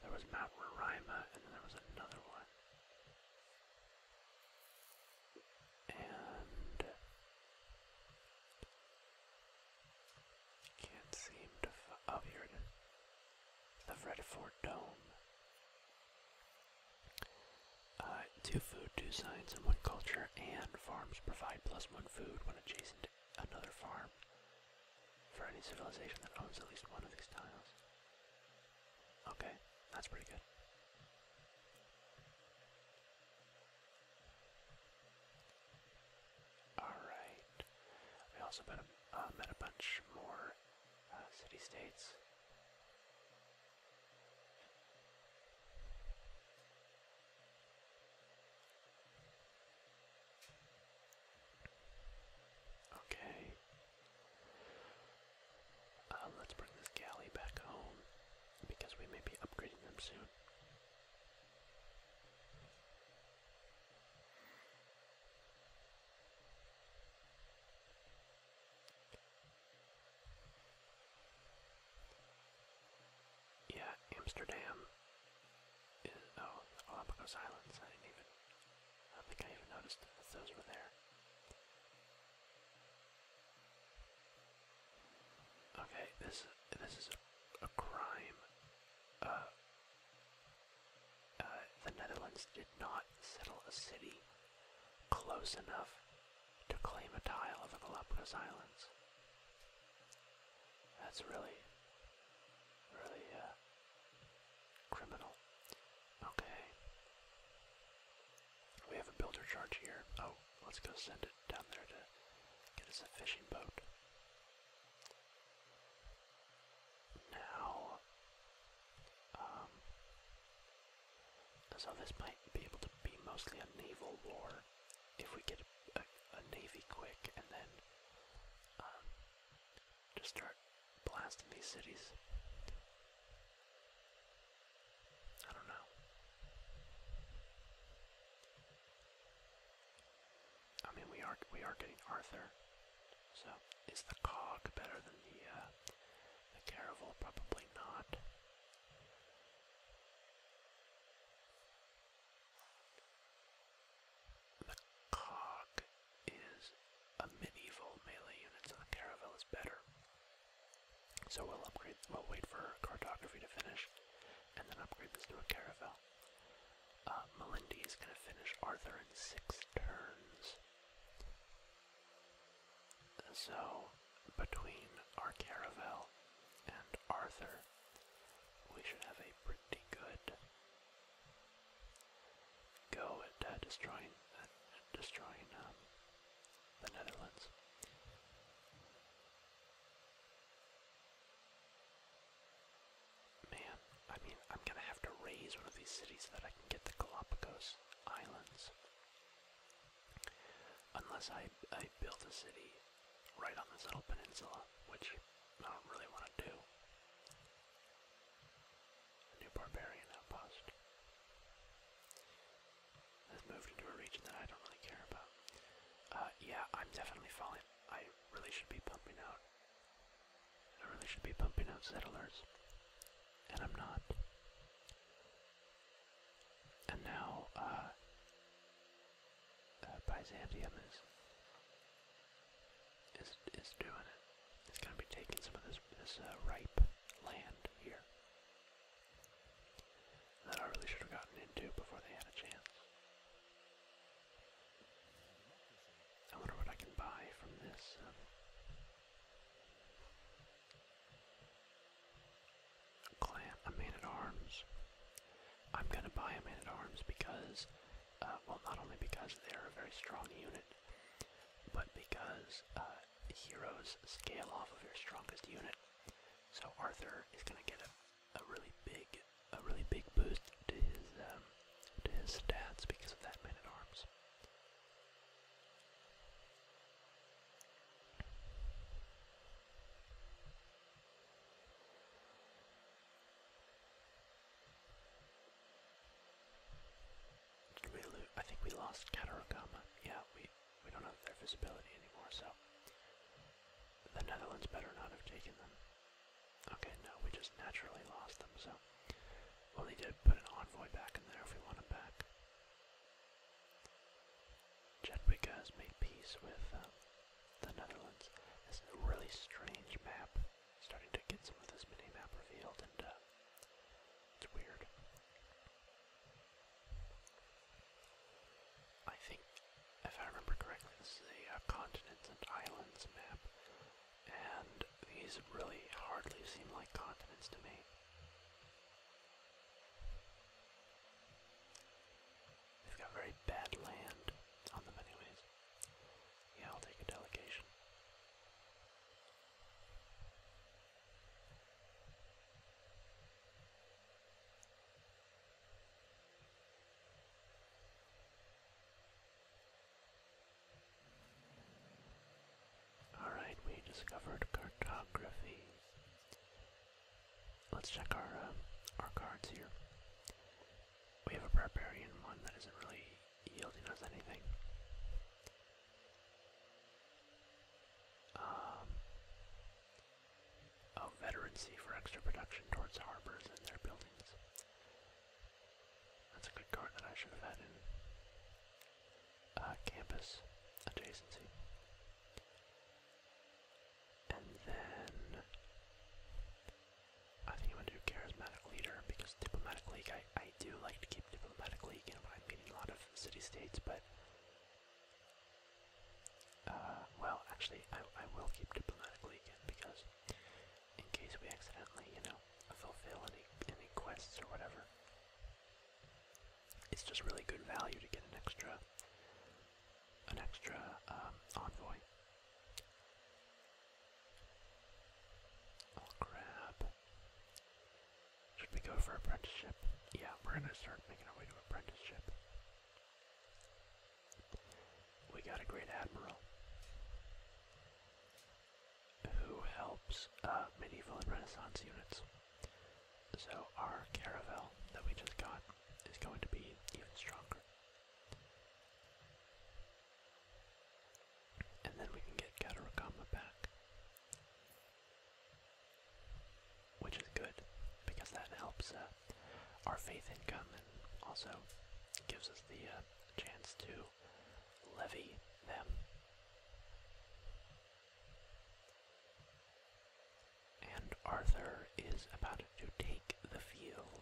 There was Mount Roraima, and then there was another one. And uh, can't seem to. F oh, here it is. The Red Fort Dome. Uh, two food, two science, and one culture, and farms provide plus one food when adjacent to another farm for any civilization that owns at least one of these tiles. Okay, that's pretty good. Alright. We also met a, uh, met a bunch more uh, city states. Okay, um, let's bring this galley back home because we may be upgrading them soon. Yeah, Amsterdam is. Oh, the Galapagos Islands. I didn't even I don't think I even noticed that those were there. Okay, this this is a, crime. Uh, uh, the Netherlands did not settle a city close enough to claim a tile of the Galapagos Islands. That's really, really uh, Criminal. Okay. We have a builder charge here. Oh, let's go send it down there to get us a fishing boat. Now, um, so this might be able to be mostly a naval war if we get a, navy quick and then um, just start blasting these cities. I don't know. I mean, we are we are getting Arthur. So, is the cog better than the uh, the caravel? Probably not. The cog is a medieval melee unit, so the Caravel is better. So we'll upgrade, we'll wait for cartography to finish, and then upgrade this to a Caravel. Uh, is going to finish Arthur in six turns. So, between our Caravel and Arthur, we should have a pretty good go at uh, destroying uh, destroying um, the Netherlands. Man, I mean, I'm gonna have to raise one of these cities so that I can get the Galapagos Islands. Unless I, I build a city right on this little peninsula, which I don't really want to do a new barbarian outpost. Has moved into a region that I don't really care about. Uh, yeah, I'm definitely falling. I really should be pumping out. I really should be pumping out settlers. And I'm not. And now, uh, uh, Byzantium is is is doing it. It's going to be taking some of this this uh, ripe land here that I really should have gotten into before they had a chance. I wonder what I can buy from this. Um, clan, a man at arms. I'm gonna buy a man at arms because, uh, well, not only because they're a very strong unit, but because uh, heroes scale off of your strongest unit, so Arthur is gonna get a, really big, a really big boost to his um, to his stats because of that man at arms. I think we lost Katarokama. Yeah, we we don't have their visibility anymore, so the Netherlands better not have taken them. Okay, no, we just naturally lost them, so we'll need to put an envoy back in there if we want him back. Jedwika made peace with uh, the Netherlands. This is a really strange map starting to get some of this mini map revealed, and uh, it's weird. I think, if I remember correctly, this is a uh, continents and islands map, and these really hardly seem like continents to me. They've got very bad land on them anyways. Yeah, I'll take a delegation. Alright, we discovered cartography. Let's check our uh, our cards here. We have a barbarian one that isn't really yielding us anything. Um, oh, veterancy for extra production towards harbors and their buildings. That's a good card that I should have had in uh, campus adjacency. And then I think I'm gonna do charismatic leader because diplomatic I do like to keep diplomatically, you know, i am meeting a lot of city-states, but... Uh, well, actually, I, I will keep diplomatically again, because in case we accidentally, you know, fulfill any, any quests or whatever, it's just really good value to get an extra, an extra, um, envoy. I'll oh, Should we go for apprenticeship? Yeah, we're gonna start making our way to an apprenticeship. We got a great admiral who helps uh, medieval and renaissance units. So our caravel that we just got is going to be even stronger and then we can get Katarakama back. Which is good, because that helps uh, our faith income and also gives us the uh, chance to levy them. And Arthur is about to take the field.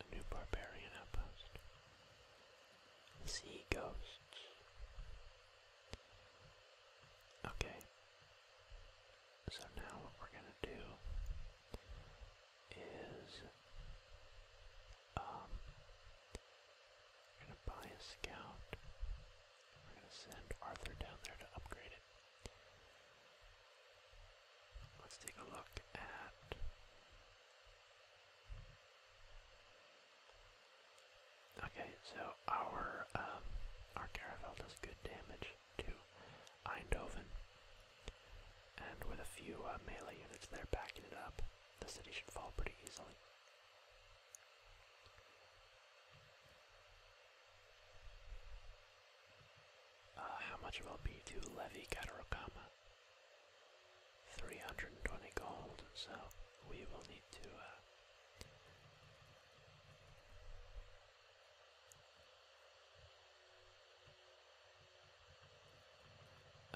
A new barbarian outpost. Sea ghosts. Okay. So now what we're gonna do is um we're gonna buy a scout. We're gonna send Arthur down there to upgrade it. Let's take a look at Okay, so our um, our caravel does good damage to Eindoven, and with a few uh, melee units there backing it up, the city should fall pretty easily. Uh, how much will it be to levy Katarokama? 320 gold, so we will need to uh,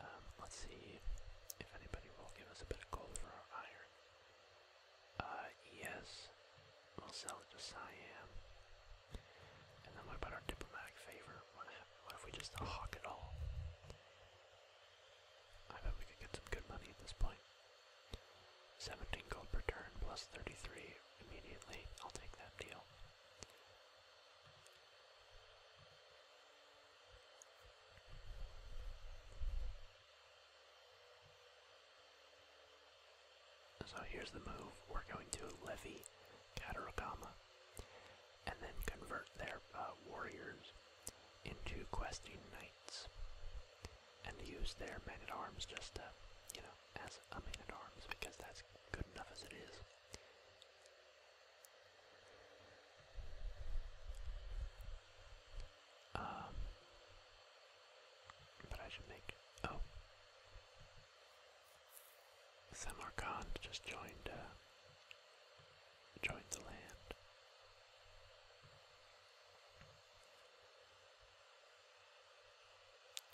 um, let's see if anybody will give us a bit of gold for our iron. Uh, yes, we'll sell it to Siam. And then about our diplomatic favor? What if we just hawk it all? I bet we could get some good money at this point. 17 gold per turn plus 33 immediately. I'll take that deal. So here's the move. We're going to levy Kataragama and then convert their uh, warriors into questing knights, and use their men at arms just to, you know, as a man at arms because that's good enough as it is. Um, but I should make oh. Samarkand just joined uh, joined the land.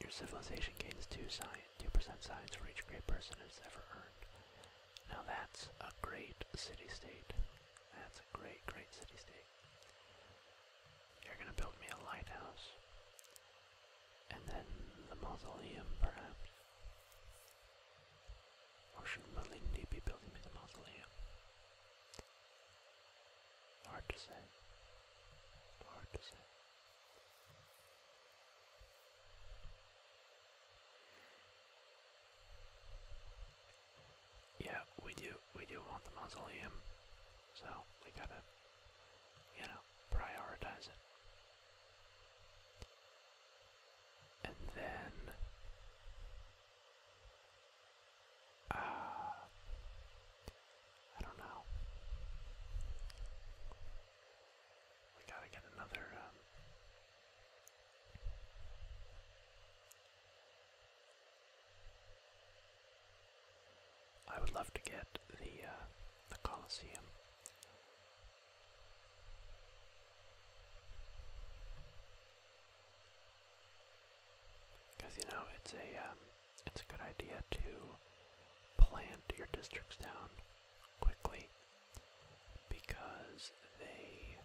Your civilization gains two science, two percent science for each great person it's ever earned. Now that's a great city-state. That's a great, great city-state. You're gonna build me a lighthouse, and then the mausoleum, perhaps. Or should Malindi be building me the mausoleum? Hard to say. Hard to say. Yeah, we do we do want the mausoleum. So we gotta you know, prioritize it and then uh, I don't know. We gotta get another. Um, I would love to get the uh, the Colosseum because you know it's a um, it's a good idea to plant your districts down quickly because they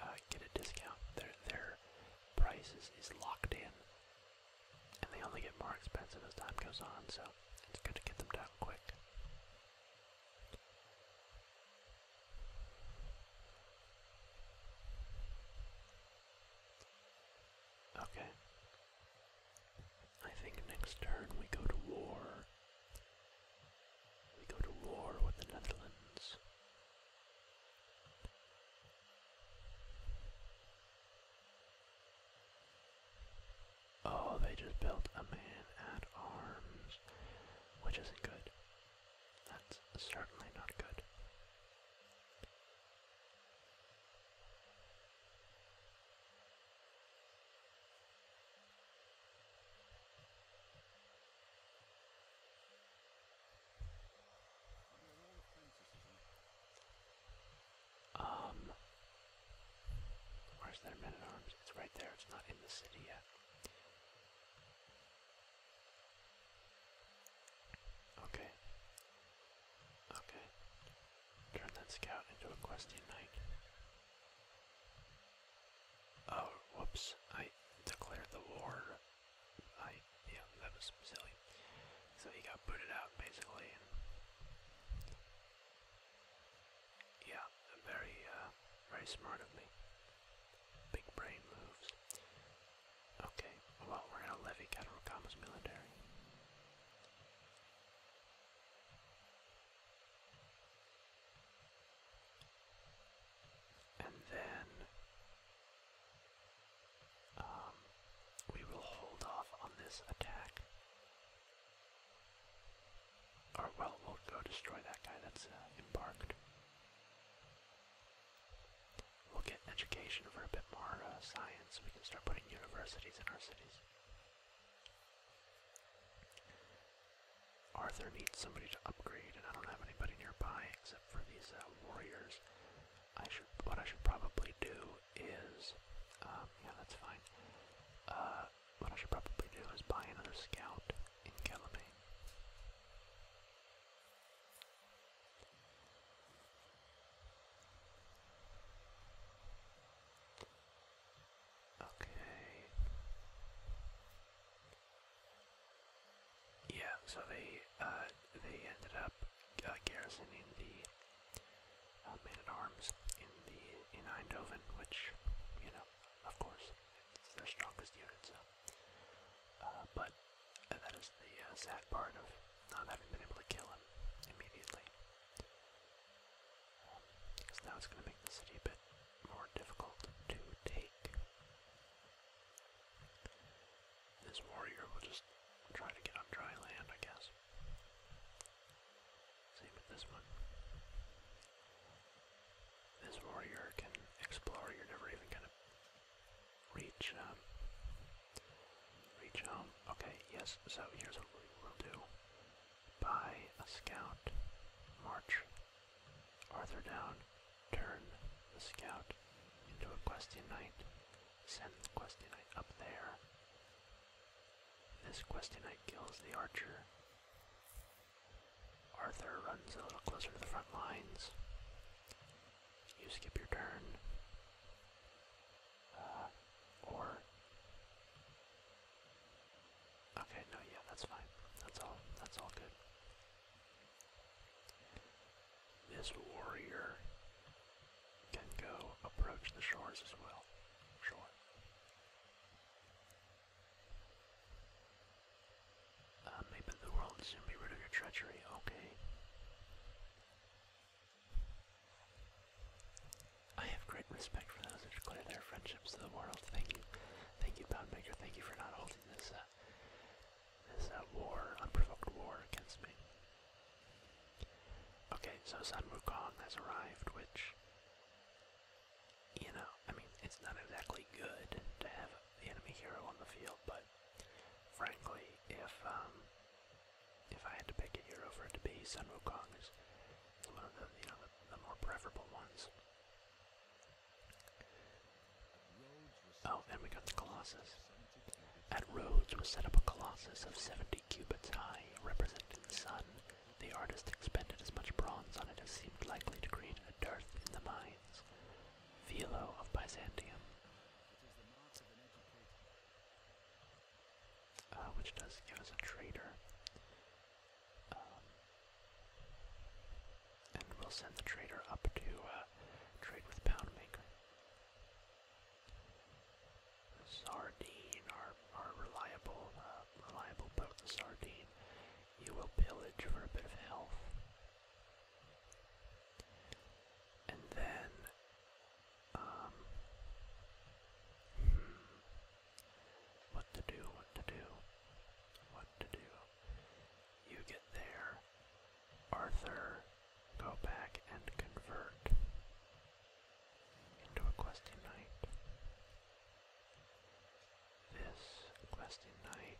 uh, get a discount. Their their prices is locked in, and they only get more expensive as time goes on. So it's good to get them down quick. Okay. I think next turn we go to war. We go to war with the Netherlands. Oh, they just built a man at arms, which isn't good. That's certainly not good. Um, Where's their men at arms? It's right there, it's not in the city yet. Okay. Okay. Turn that scout into a questing knight. Oh, whoops. I declared the war. I, yeah, that was silly. So he got booted out, basically. Yeah, very, uh, very smart of me. Big brain moves. Okay, well, we're gonna levy Katarokama's military. And then um, we will hold off on this attack or, well, will go destroy that guy that's uh, embarked. We'll get education for a bit more uh, science. We can start putting universities in our cities. Arthur needs somebody to upgrade, and I don't have anybody nearby except for these uh, warriors. I should. What I should probably do is, um, yeah, that's fine. What I should probably do is buy another scout in Calamay. Okay. Yeah, so they uh, they ended up uh, garrisoning the uh, at arms in the in Eindhoven, which you know of course. It's their strongest units, uh, but that is the uh, sad part of not having been able to kill him immediately. because um, so now it's going to make the city a bit more difficult to take. This warrior will just try to get on dry land, I guess. Same with this one. This warrior can explore, you're never even gonna reach, um, reach home. Okay, yes, so here's what we will do. Buy a scout, march Arthur down, turn the scout into a question knight, send the question knight up there. This question knight kills the archer. Arthur runs a little closer to the front lines. You skip your turn. Uh, or. Okay, no, yeah, that's fine. That's all. That's all good. This warrior can go approach the shores as well. Sure. Uh, maybe the world soon be rid of your treachery. Okay. I have great respect for those who declare their friendships to the world. Thank you, thank you, Poundmaker. Thank you for not holding this uh, this uh, war, unprovoked war against me. Okay, so Sun Wukong has arrived, which you know, I mean, it's not exactly good to have the enemy hero on the field, but frankly, if um, if I had to pick a hero for it to be, Sun Wukong is one of the you know the, the more preferable ones. Oh, and we got the Colossus. At Rhodes was set up a Colossus of 70 cubits high, representing the sun, the artist expended as much bronze on it as seemed likely to create a dearth in the mines. Philo of Byzantium. Uh, which does give us a trader, um, and we'll send the trader up to uh, trade with Poundmaker. Sardine, are our reliable, uh, reliable boat, Sardine, you will pillage for a bit of health. And then, um, hmm, what to do, what to do, what to do. You get there, Arthur, go back and convert into a questing knight this Questing Knight,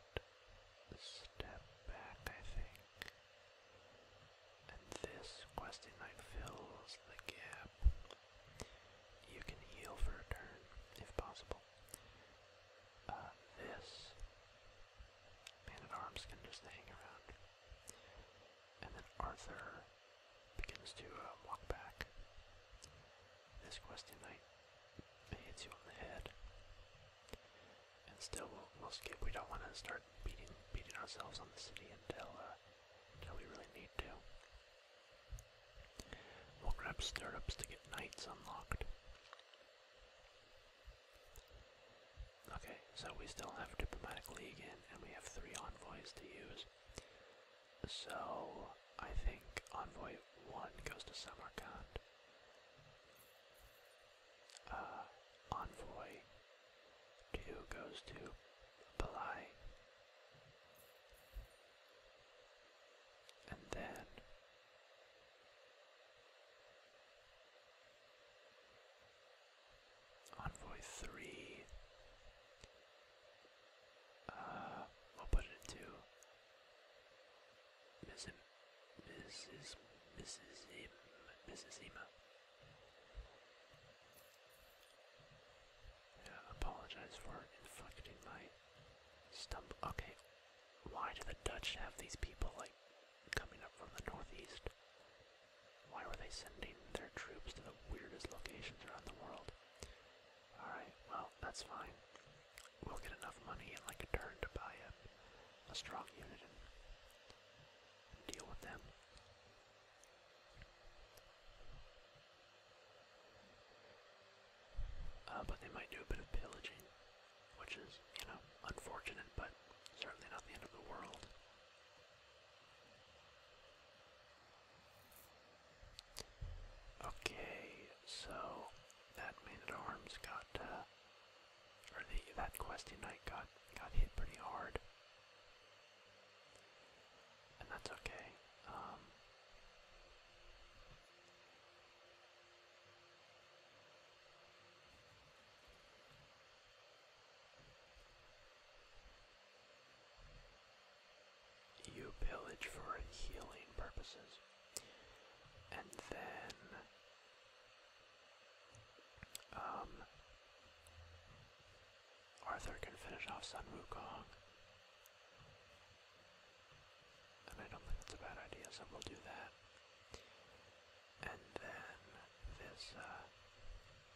step back, I think. And this Questing Knight fills the gap. You can heal for a turn, if possible. Uh, this Man at Arms can just hang around. And then Arthur begins to uh, walk back. This Questing Knight hits you on the head. And still, we'll, we'll skip. We don't want to start beating beating ourselves on the city until uh, until we really need to. We'll grab stirrups to get knights unlocked. Okay, so we still have diplomatic league in, and we have three envoys to use. So I think Envoy 1 goes to Samarkand. Uh, Envoy 2 goes to Balai. And then Envoy 3. Uh, will put it into Mrs. Mrs. Mrs. Mrs. Ema. Yeah, apologize for inflicting my stump. Okay, why do the Dutch have these people like coming up from the northeast? Why were they sending their troops to the weirdest locations around the world? Alright, well, that's fine. We'll get enough money in like a turn to buy a, a strong unit and deal with them. Uh, but they might do a bit of pillaging, which is, you know, unfortunate, but certainly not the end of the world. Okay, so that man at arms got, uh, or the that question knight got got hit pretty hard, and that's okay. Um you pillage for healing purposes. And then um, Arthur can finish off Sun Wukong. And I don't think that's a bad idea, so we'll do that. And then this uh,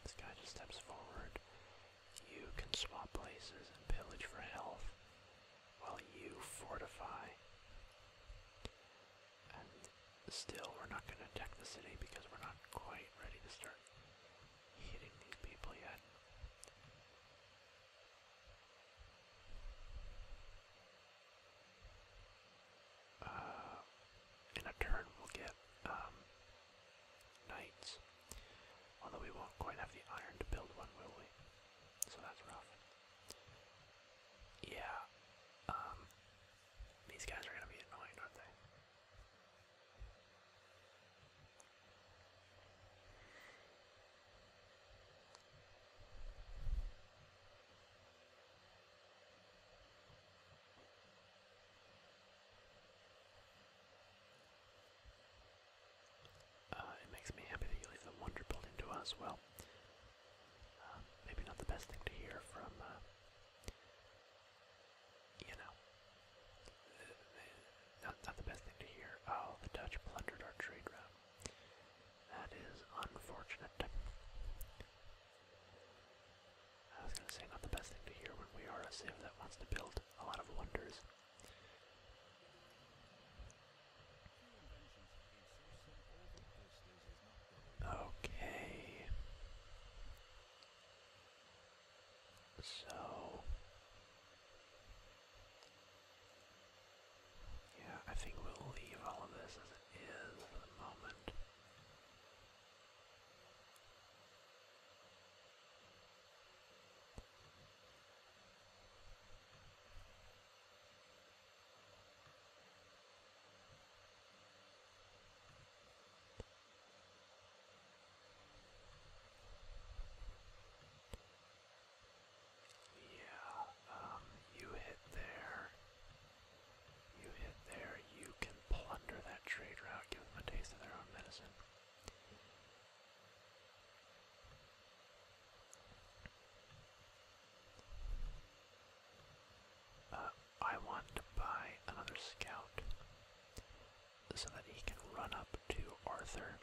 this guy just steps forward. You can swap places and pillage for health while you fortify. And still, we're not going to attack the city because we're not quite ready to start hitting these people yet. Uh, in a turn, we'll get um, knights. Although we won't quite have the iron to build one, will we? so that's rough. Yeah, um, these guys are gonna be annoying, aren't they? Uh, it makes me happy that you leave the wonder building to us. Well, uh, maybe not the best thing to hear from, uh, you know, not the best thing to hear. Oh, the Dutch plundered our trade route. That is unfortunate. I was going to say, not the best thing to hear when we are a civ that wants to build a lot of wonders. Okay. So yeah, I think we'll leave all of this as it is for the moment. Yeah, um, you hit there. You hit there. You can plunder that trade route, give them a taste of their own medicine. Uh, I want to buy another scout so that he can run up to Arthur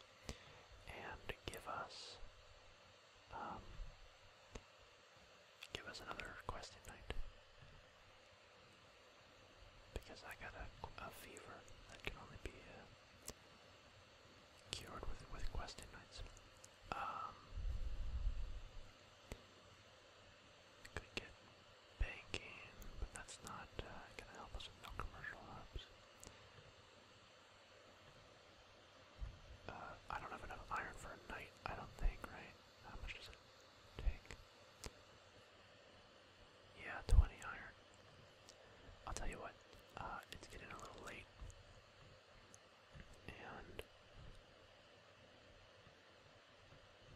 and give us um, give us another questing night because I got a, fever that can only be uh, cured with with quest inmates. Um, could get banking, but that's not uh, gonna help us with no commercial hubs. Uh, I don't have enough iron for a knight, I don't think, right? How much does it take? Yeah, 20 iron. I'll tell you what, uh, it's getting a little late. And.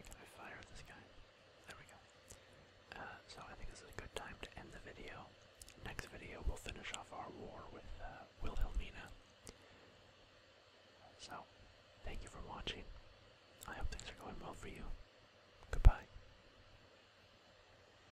I fire this guy? There we go. Uh, so I think this is a good time to end the video. Next video, we'll finish off our war with uh, Wilhelmina. So, thank you for watching. I hope things are going well for you. Goodbye.